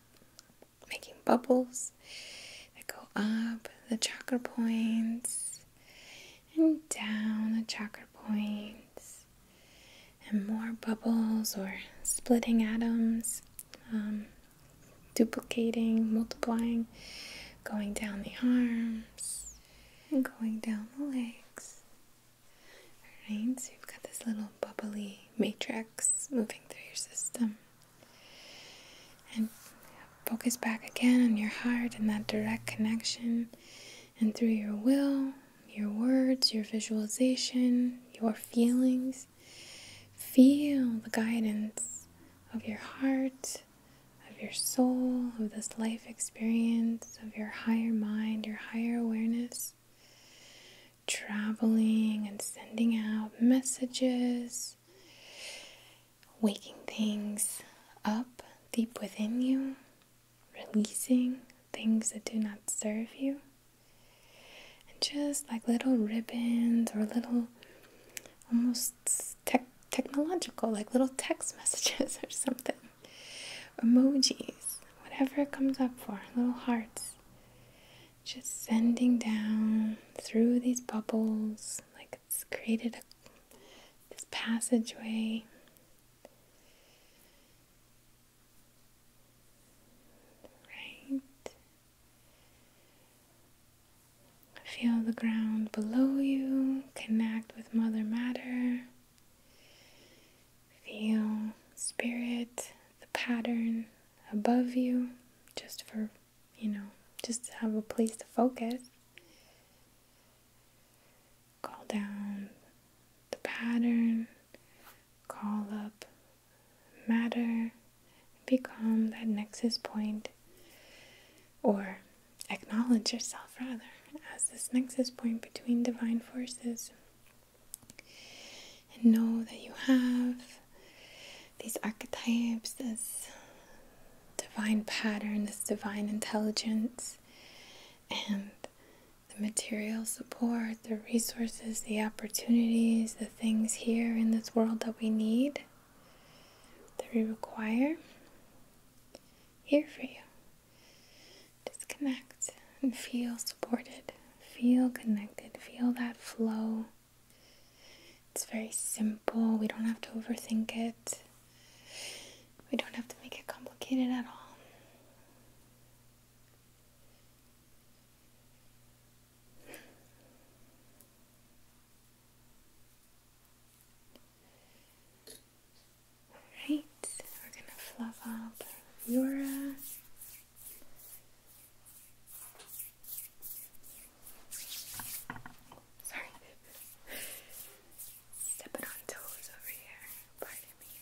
making bubbles that go up the chakra points and down the chakra points and more bubbles or splitting atoms um, duplicating multiplying going down the arm and going down the legs. Alright, so you've got this little bubbly matrix moving through your system. And focus back again on your heart and that direct connection. And through your will, your words, your visualization, your feelings, feel the guidance of your heart of your soul, of this life experience, of your higher mind, your higher awareness, traveling and sending out messages, waking things up deep within you, releasing things that do not serve you. And just like little ribbons or little almost tech technological, like little text messages or something. Emojis, whatever it comes up for, little hearts. Just sending down through these bubbles, like it's created a, this passageway. Right. Feel the ground below you, connect with Mother Matter. Feel spirit, the pattern above you, just for, you know, just to have a place to focus. Call down the pattern, call up matter, become that nexus point or acknowledge yourself rather as this nexus point between divine forces and know that you have these archetypes, this divine pattern, this divine intelligence, and the material support, the resources, the opportunities, the things here in this world that we need that we require here for you. Disconnect and feel supported, feel connected, feel that flow. It's very simple, we don't have to overthink it, we don't have to make it complicated at all. Alright, we're gonna fluff up your Sorry. Stepping on toes over here. Pardon me.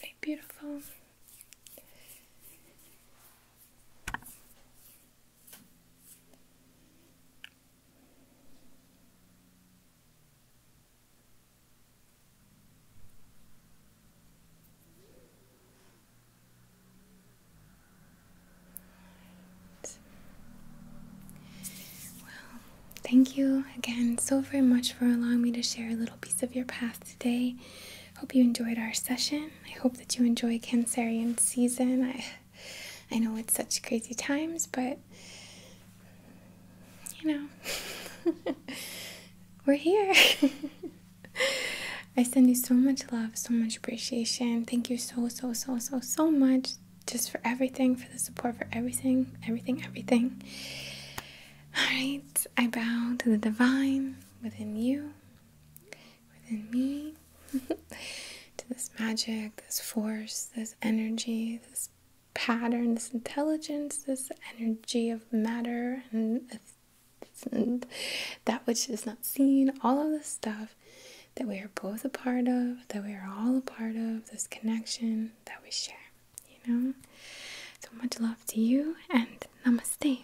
Really beautiful. Well, thank you again so very much for allowing me to share a little piece of your path today. Hope you enjoyed our session, I hope that you enjoy Cancerian season. I I know it's such crazy times, but you know, we're here. I send you so much love, so much appreciation. Thank you so, so, so, so, so much just for everything, for the support, for everything, everything, everything. All right, I bow to the divine within you within me to this magic, this force, this energy, this pattern, this intelligence, this energy of matter and, that which is not seen, all of the stuff that we are both a part of, that we are all a part of, this connection that we share, you know? So much love to you and namaste.